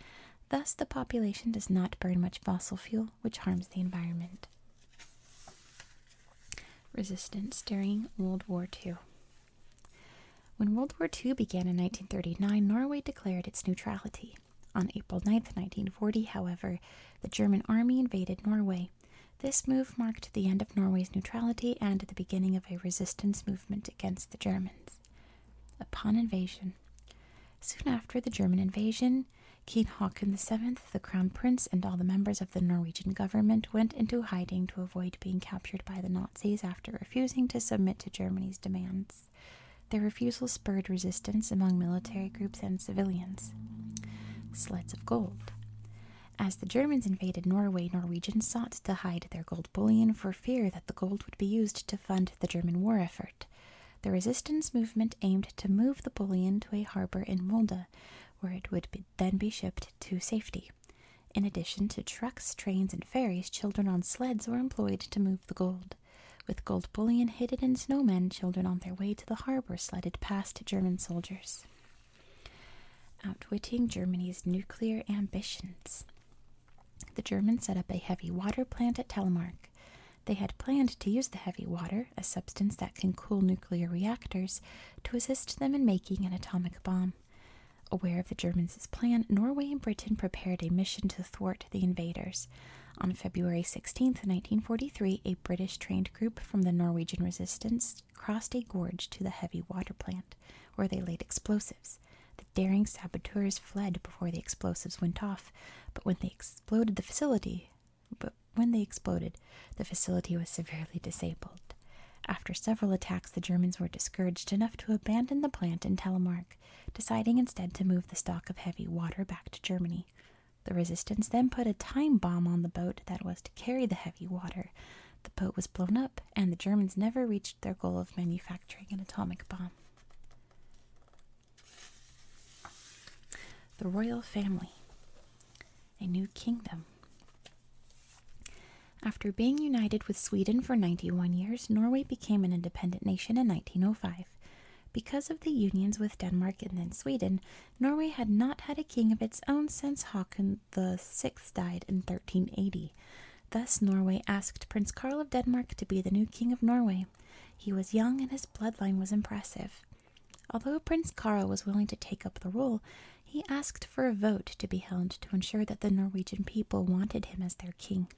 Thus, the population does not burn much fossil fuel, which harms the environment. Resistance during World War II. When World War II began in 1939, Norway declared its neutrality. On April 9, 1940, however, the German army invaded Norway. This move marked the end of Norway's neutrality and the beginning of a resistance movement against the Germans. Upon invasion, soon after the German invasion, King Haakon VII, the crown prince, and all the members of the Norwegian government went into hiding to avoid being captured by the Nazis after refusing to submit to Germany's demands. Their refusal spurred resistance among military groups and civilians. Sleds of Gold. As the Germans invaded Norway, Norwegians sought to hide their gold bullion for fear that the gold would be used to fund the German war effort. The resistance movement aimed to move the bullion to a harbor in Molde, where it would then be shipped to safety. In addition to trucks, trains, and ferries, children on sleds were employed to move the gold. With gold bullion hidden in snowmen, children on their way to the harbor sledded past German soldiers. Outwitting Germany's nuclear ambitions. The Germans set up a heavy water plant at Telemark. They had planned to use the heavy water, a substance that can cool nuclear reactors, to assist them in making an atomic bomb. Aware of the Germans' plan, Norway and Britain prepared a mission to thwart the invaders. On February 16, 1943, a British trained group from the Norwegian resistance crossed a gorge to the heavy water plant, where they laid explosives. The daring saboteurs fled before the explosives went off, but when they exploded the facility, but when they exploded, the facility was severely disabled. After several attacks, the Germans were discouraged enough to abandon the plant in Telemark, deciding instead to move the stock of heavy water back to Germany. The resistance then put a time bomb on the boat that was to carry the heavy water. The boat was blown up, and the Germans never reached their goal of manufacturing an atomic bomb. The royal family, a new kingdom. After being united with Sweden for 91 years, Norway became an independent nation in 1905. Because of the unions with Denmark and then Sweden, Norway had not had a king of its own since Haakon VI died in 1380. Thus, Norway asked Prince Karl of Denmark to be the new king of Norway. He was young and his bloodline was impressive. Although Prince Karl was willing to take up the rule, he asked for a vote to be held to ensure that the Norwegian people wanted him as their king.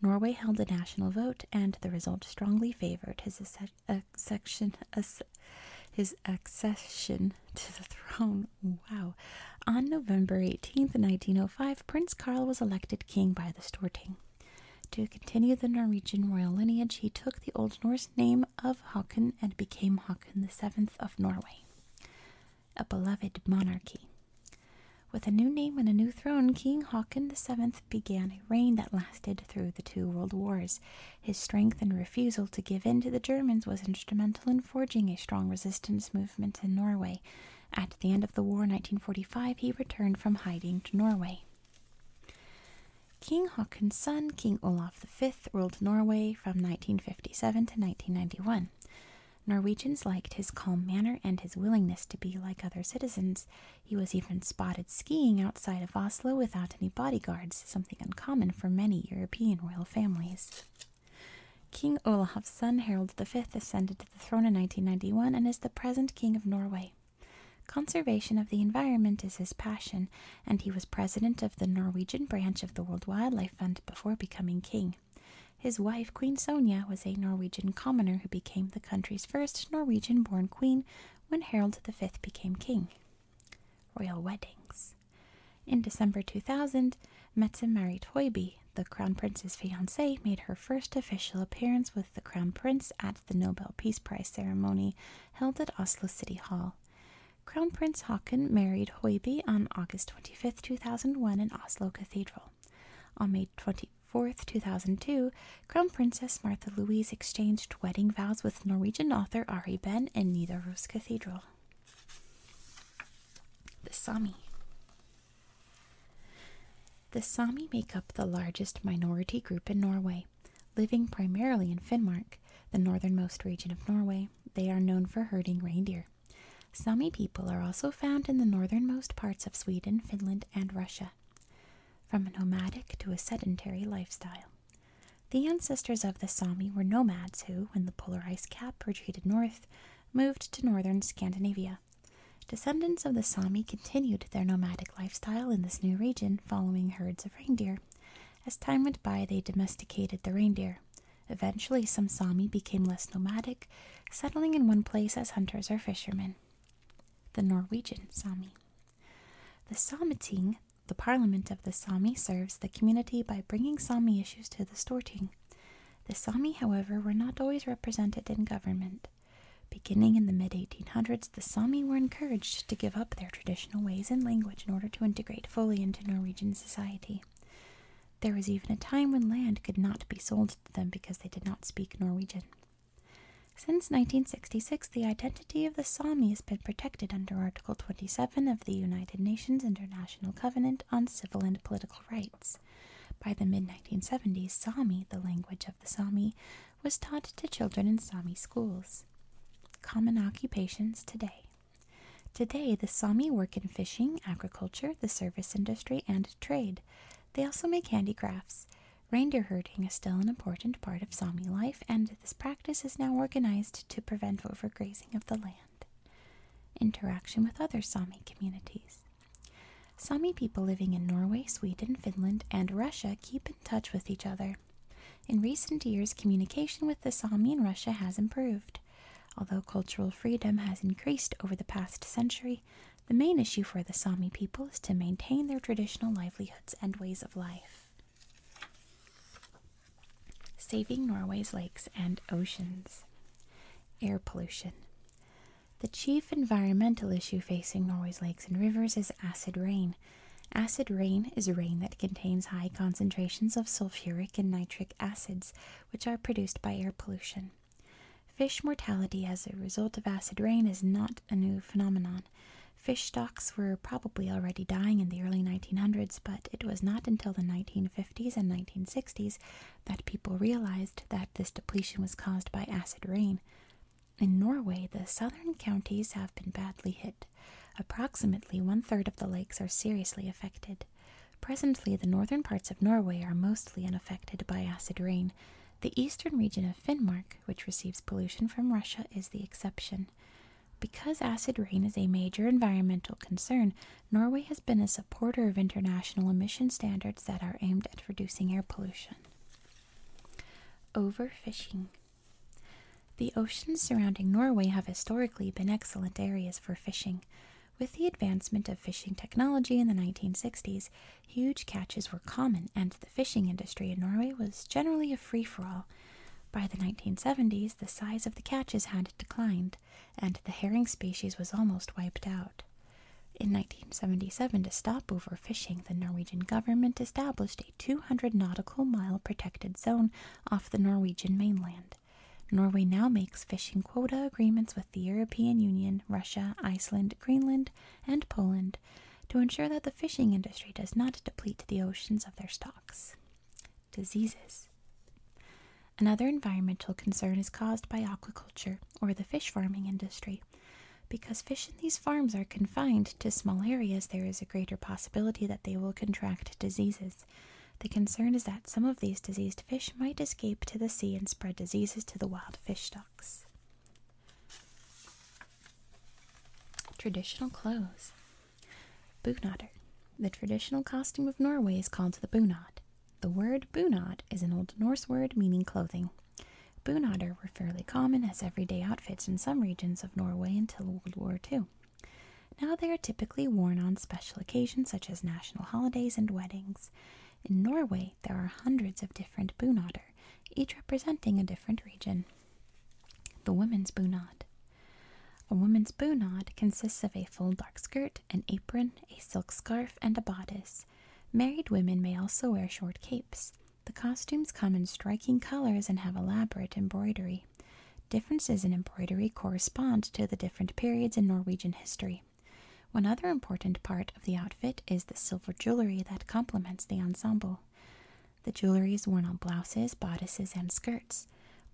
Norway held a national vote, and the result strongly favored his, accession, to the throne. Wow. On November 18, 1905, Prince Karl was elected king by the Storting. To continue the Norwegian royal lineage, he took the Old Norse name of Haakon and became Haakon VII of Norway, a beloved monarchy. With a new name and a new throne, King Haakon VII began a reign that lasted through the two world wars. His strength and refusal to give in to the Germans was instrumental in forging a strong resistance movement in Norway. At the end of the war in 1945, he returned from hiding to Norway. King Haakon's son, King Olaf V, ruled Norway from 1957 to 1991. Norwegians liked his calm manner and his willingness to be like other citizens. He was even spotted skiing outside of Oslo without any bodyguards, something uncommon for many European royal families. King Olav's son Harald V ascended to the throne in 1991 and is the present King of Norway. Conservation of the environment is his passion, and he was president of the Norwegian branch of the World Wildlife Fund before becoming king. His wife, Queen Sonja, was a Norwegian commoner who became the country's first Norwegian born queen when Harold V became king. Royal weddings. In December 2000, Metzen married Hoiby, the crown prince's fiancee, made her first official appearance with the crown prince at the Nobel Peace Prize ceremony held at Oslo City Hall. Crown Prince Haakon married Hoiby on August 25, 2001 in Oslo Cathedral. On May 20, 4th, 2002, Crown Princess Martha Louise exchanged wedding vows with Norwegian author Ari Ben in Nidaros Cathedral. The Sami. The Sami make up the largest minority group in Norway. Living primarily in Finnmark, the northernmost region of Norway, they are known for herding reindeer. Sami people are also found in the northernmost parts of Sweden, Finland, and Russia from a nomadic to a sedentary lifestyle. The ancestors of the Sami were nomads who, when the polar ice cap retreated north, moved to northern Scandinavia. Descendants of the Sami continued their nomadic lifestyle in this new region following herds of reindeer. As time went by, they domesticated the reindeer. Eventually, some Sami became less nomadic, settling in one place as hunters or fishermen the Norwegian Sami. The Sameting, the parliament of the Sami, serves the community by bringing Sami issues to the Storting. The Sami, however, were not always represented in government. Beginning in the mid 1800s, the Sami were encouraged to give up their traditional ways and language in order to integrate fully into Norwegian society. There was even a time when land could not be sold to them because they did not speak Norwegian. Since 1966, the identity of the Sami has been protected under Article 27 of the United Nations International Covenant on Civil and Political Rights. By the mid 1970s, Sami, the language of the Sami, was taught to children in Sami schools. Common occupations today. Today, the Sami work in fishing, agriculture, the service industry, and trade. They also make handicrafts. Reindeer herding is still an important part of Sami life, and this practice is now organized to prevent overgrazing of the land. Interaction with other Sami communities. Sami people living in Norway, Sweden, Finland, and Russia keep in touch with each other. In recent years, communication with the Sami in Russia has improved. Although cultural freedom has increased over the past century, the main issue for the Sami people is to maintain their traditional livelihoods and ways of life. Saving Norway's lakes and oceans. Air pollution. The chief environmental issue facing Norway's lakes and rivers is acid rain. Acid rain is rain that contains high concentrations of sulfuric and nitric acids, which are produced by air pollution. Fish mortality as a result of acid rain is not a new phenomenon. Fish stocks were probably already dying in the early 1900s, but it was not until the 1950s and 1960s that people realized that this depletion was caused by acid rain. In Norway, the southern counties have been badly hit. Approximately one third of the lakes are seriously affected. Presently, the northern parts of Norway are mostly unaffected by acid rain. The eastern region of Finnmark, which receives pollution from Russia, is the exception. Because acid rain is a major environmental concern, Norway has been a supporter of international emission standards that are aimed at reducing air pollution. Overfishing. The oceans surrounding Norway have historically been excellent areas for fishing. With the advancement of fishing technology in the 1960s, Huge catches were common, and the fishing industry in Norway was generally a free for all. By the 1970s, the size of the catches had declined, and the herring species was almost wiped out. In 1977, to stop overfishing, the Norwegian government established a 200 nautical mile protected zone off the Norwegian mainland. Norway now makes fishing quota agreements with the European Union, Russia, Iceland, Greenland, and Poland to ensure that the fishing industry does not deplete the oceans of their stocks. Diseases. Another environmental concern is caused by aquaculture or the fish farming industry. Because fish in these farms are confined to small areas, there is a greater possibility that they will contract diseases. The concern is that some of these diseased fish might escape to the sea and spread diseases to the wild fish stocks. Traditional clothes. Bunadr. The traditional costume of Norway is called the bunad. The word bunad is an Old Norse word meaning clothing. Bunadr were fairly common as everyday outfits in some regions of Norway until World War II. Now they are typically worn on special occasions such as national holidays and weddings. In Norway, there are hundreds of different bunader, each representing a different region. The women's bunad. A woman's bunad consists of a full dark skirt, an apron, a silk scarf, and a bodice. Married women may also wear short capes. The costumes come in striking colors and have elaborate embroidery. Differences in embroidery correspond to the different periods in Norwegian history. One other important part of the outfit is the silver jewelry that complements the ensemble. The jewelry is worn on blouses, bodices, and skirts.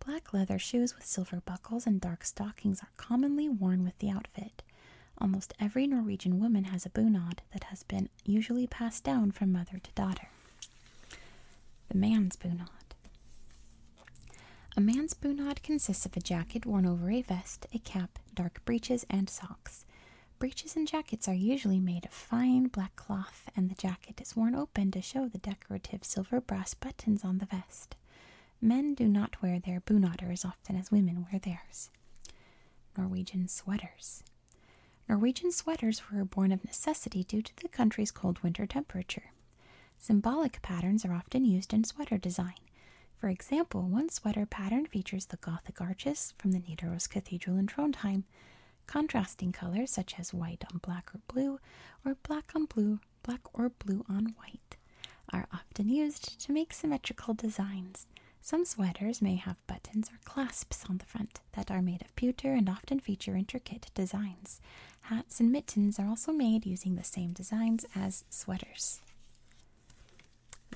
Black leather shoes with silver buckles and dark stockings are commonly worn with the outfit. Almost every Norwegian woman has a bunad that has been usually passed down from mother to daughter. The man's bunad. A man's bunad consists of a jacket worn over a vest, a cap, dark breeches, and socks. Breeches and jackets are usually made of fine black cloth, and the jacket is worn open to show the decorative silver brass buttons on the vest. Men do not wear their bunadder as often as women wear theirs. Norwegian sweaters. Norwegian sweaters were born of necessity due to the country's cold winter temperature. Symbolic patterns are often used in sweater design. For example, one sweater pattern features the Gothic arches, from the Nidaros Cathedral in Trondheim, contrasting colors such as white on black or blue, or black on blue, black or blue on white, are often used to make symmetrical designs. Some sweaters may have buttons or clasps on the front that are made of pewter and often feature intricate designs. Hats and mittens are also made using the same designs as sweaters.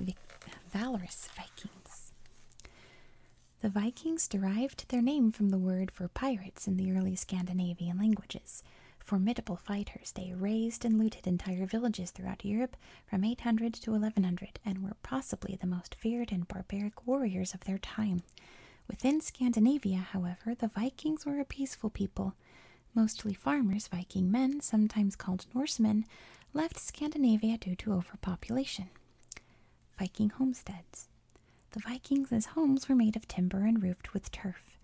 Vic valorous Vikings. The Vikings derived their name from the word for pirates in the early Scandinavian languages. Formidable fighters, they razed and looted entire villages throughout Europe from 800 to 1100 and were possibly the most feared and barbaric warriors of their time. Within Scandinavia, however, the Vikings were a peaceful people. Mostly farmers, Viking men, sometimes called Norsemen, left Scandinavia due to overpopulation. Viking homesteads. The Vikings' homes were made of timber and roofed with turf.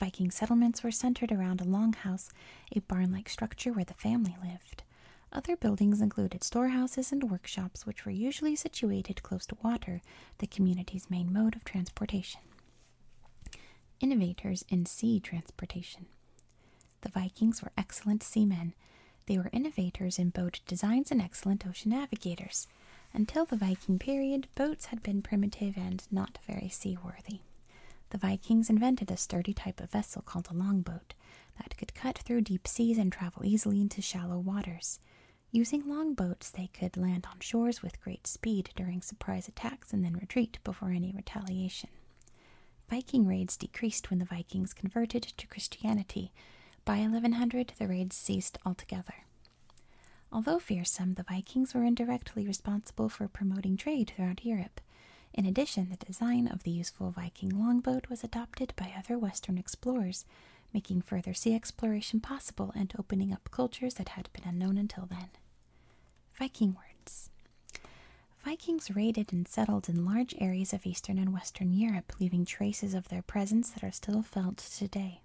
Viking settlements were centered around a longhouse, a barn like structure where the family lived. Other buildings included storehouses and workshops, which were usually situated close to water, the community's main mode of transportation. Innovators in sea transportation. The Vikings were excellent seamen. They were innovators in boat designs and excellent ocean navigators. Until the Viking period, boats had been primitive and not very seaworthy. The Vikings invented a sturdy type of vessel called a longboat that could cut through deep seas and travel easily into shallow waters. Using longboats, they could land on shores with great speed during surprise attacks and then retreat before any retaliation. Viking raids decreased when the Vikings converted to Christianity. By 1100, the raids ceased altogether. Although fearsome, the Vikings were indirectly responsible for promoting trade throughout Europe. In addition, the design of the useful Viking longboat was adopted by other Western explorers, making further sea exploration possible and opening up cultures that had been unknown until then. Viking words Vikings raided and settled in large areas of Eastern and Western Europe, leaving traces of their presence that are still felt today.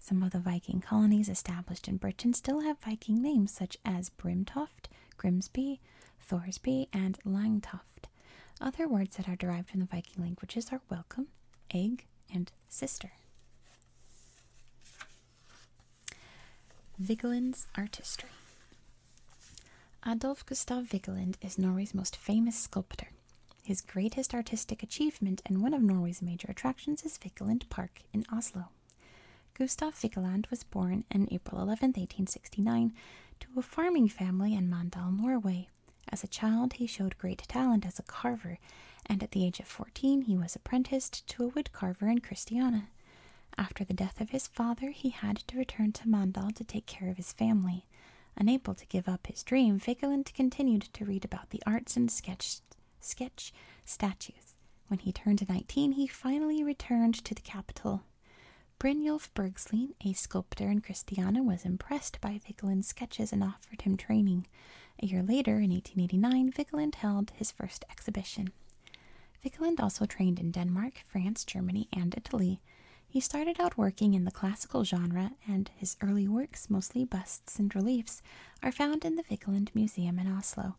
Some of the Viking colonies established in Britain still have Viking names such as Brimtoft, Grimsby, Thorsby, and Langtoft. Other words that are derived from the Viking languages are welcome, egg, and sister. Vigeland's artistry. Adolf Gustav Vigeland is Norway's most famous sculptor. His greatest artistic achievement and one of Norway's major attractions is Vigeland Park in Oslo. Gustav Vigeland was born on April 11, 1869, to a farming family in Mandal, Norway. As a child, he showed great talent as a carver, and at the age of 14, he was apprenticed to a wood carver in Christiana. After the death of his father, he had to return to Mandal to take care of his family. Unable to give up his dream, Vigeland continued to read about the arts and sketch, statues. When he turned 19, he finally returned to the capital. Brynjolf Bergslien, a sculptor in Christiana, was impressed by Vigeland's sketches and offered him training. A year later, in 1889, Vigeland held his first exhibition. Vikeland also trained in Denmark, France, Germany, and Italy. He started out working in the classical genre, and his early works, mostly busts and reliefs, are found in the Vikeland Museum in Oslo.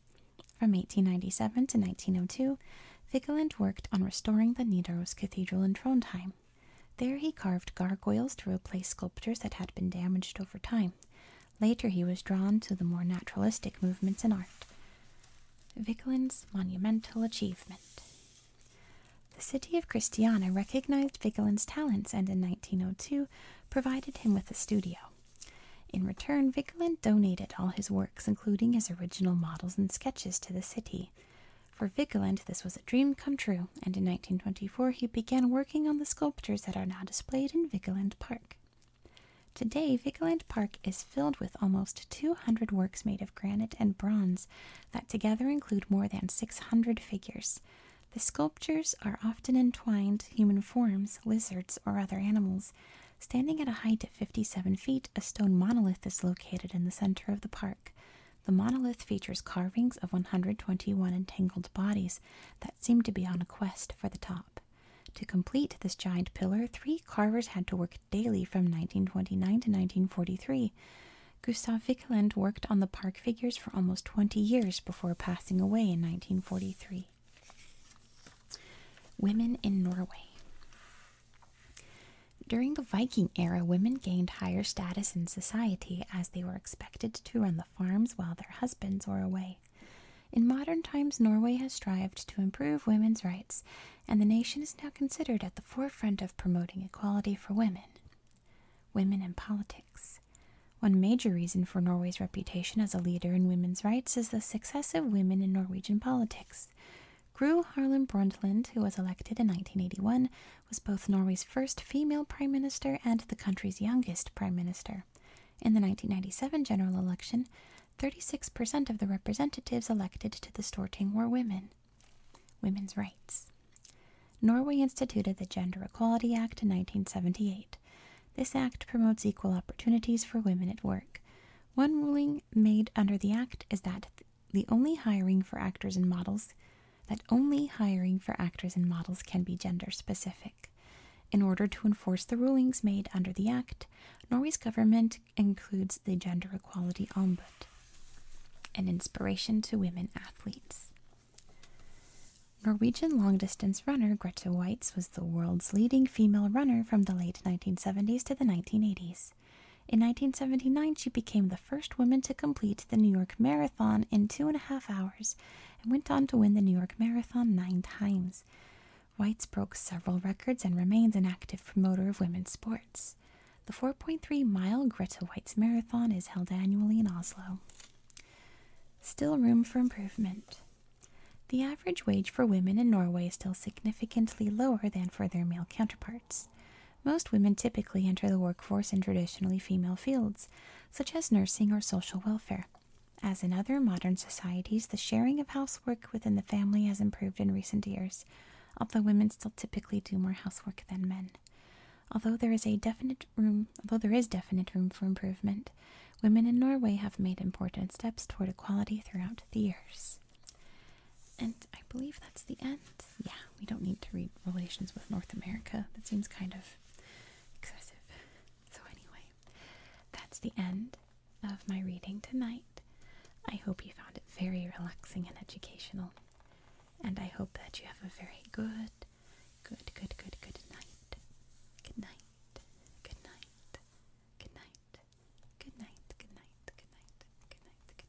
From 1897 to 1902, Vikeland worked on restoring the Nidaros Cathedral in Trondheim. There he carved gargoyles to replace sculptures that had been damaged over time. Later he was drawn to the more naturalistic movements in art. Vigeland's monumental achievement. The city of Christiana recognized Vigeland's talents and in 1902 provided him with a studio. In return, Vigeland donated all his works, including his original models and sketches, to the city. For Vigeland, this was a dream come true, and in 1924 he began working on the sculptures that are now displayed in Vigeland Park. Today, Vigeland Park is filled with almost 200 works made of granite and bronze that together include more than 600 figures. The sculptures are often entwined human forms, lizards, or other animals. Standing at a height of 57 feet, a stone monolith is located in the center of the park. The monolith features carvings of 121 entangled bodies that seem to be on a quest for the top. To complete this giant pillar, three carvers had to work daily from 1929 to 1943. Gustav Vikeland worked on the park figures for almost 20 years before passing away in 1943. Women in Norway. During the Viking era, women gained higher status in society as they were expected to run the farms while their husbands were away. In modern times, Norway has strived to improve women's rights and the nation is now considered at the forefront of promoting equality for women. Women in politics. One major reason for Norway's reputation as a leader in women's rights is the success of women in Norwegian politics. Gro Harlem Brundtland, who was elected in 1981, was both Norway's first female prime minister and the country's youngest prime minister. In the 1997 general election, 36% of the representatives elected to the Storting were women. Women's rights. Norway instituted the Gender Equality Act in 1978. This act promotes equal opportunities for women at work. One ruling made under the act is that the only hiring for actors and models that only hiring for actors and models can be gender specific. In order to enforce the rulings made under the act, Norway's government includes the Gender Equality Ombud, an inspiration to women athletes. Norwegian long distance runner Greta White's was the world's leading female runner from the late 1970s to the 1980s. In 1979, she became the first woman to complete the New York Marathon in two and a half hours and went on to win the New York Marathon nine times. Whites broke several records and remains an active promoter of women's sports. The 4.3 mile Greta White's Marathon is held annually in Oslo. Still room for improvement. The average wage for women in Norway is still significantly lower than for their male counterparts. Most women typically enter the workforce in traditionally female fields, such as nursing or social welfare. As in other modern societies, the sharing of housework within the family has improved in recent years although women still typically do more housework than men. Although there is a definite room, although there is definite room for improvement, women in Norway have made important steps toward equality throughout the years. And I believe that's the end. Yeah, we don't need to read relations with North America. That seems kind of excessive. So anyway, that's the end of my reading tonight. I hope you found it very relaxing and educational. And I hope that you have a very good, good, good, good, good night. Good night. Good night. Good night. Good night. Good night. Good night. Good night. Good night.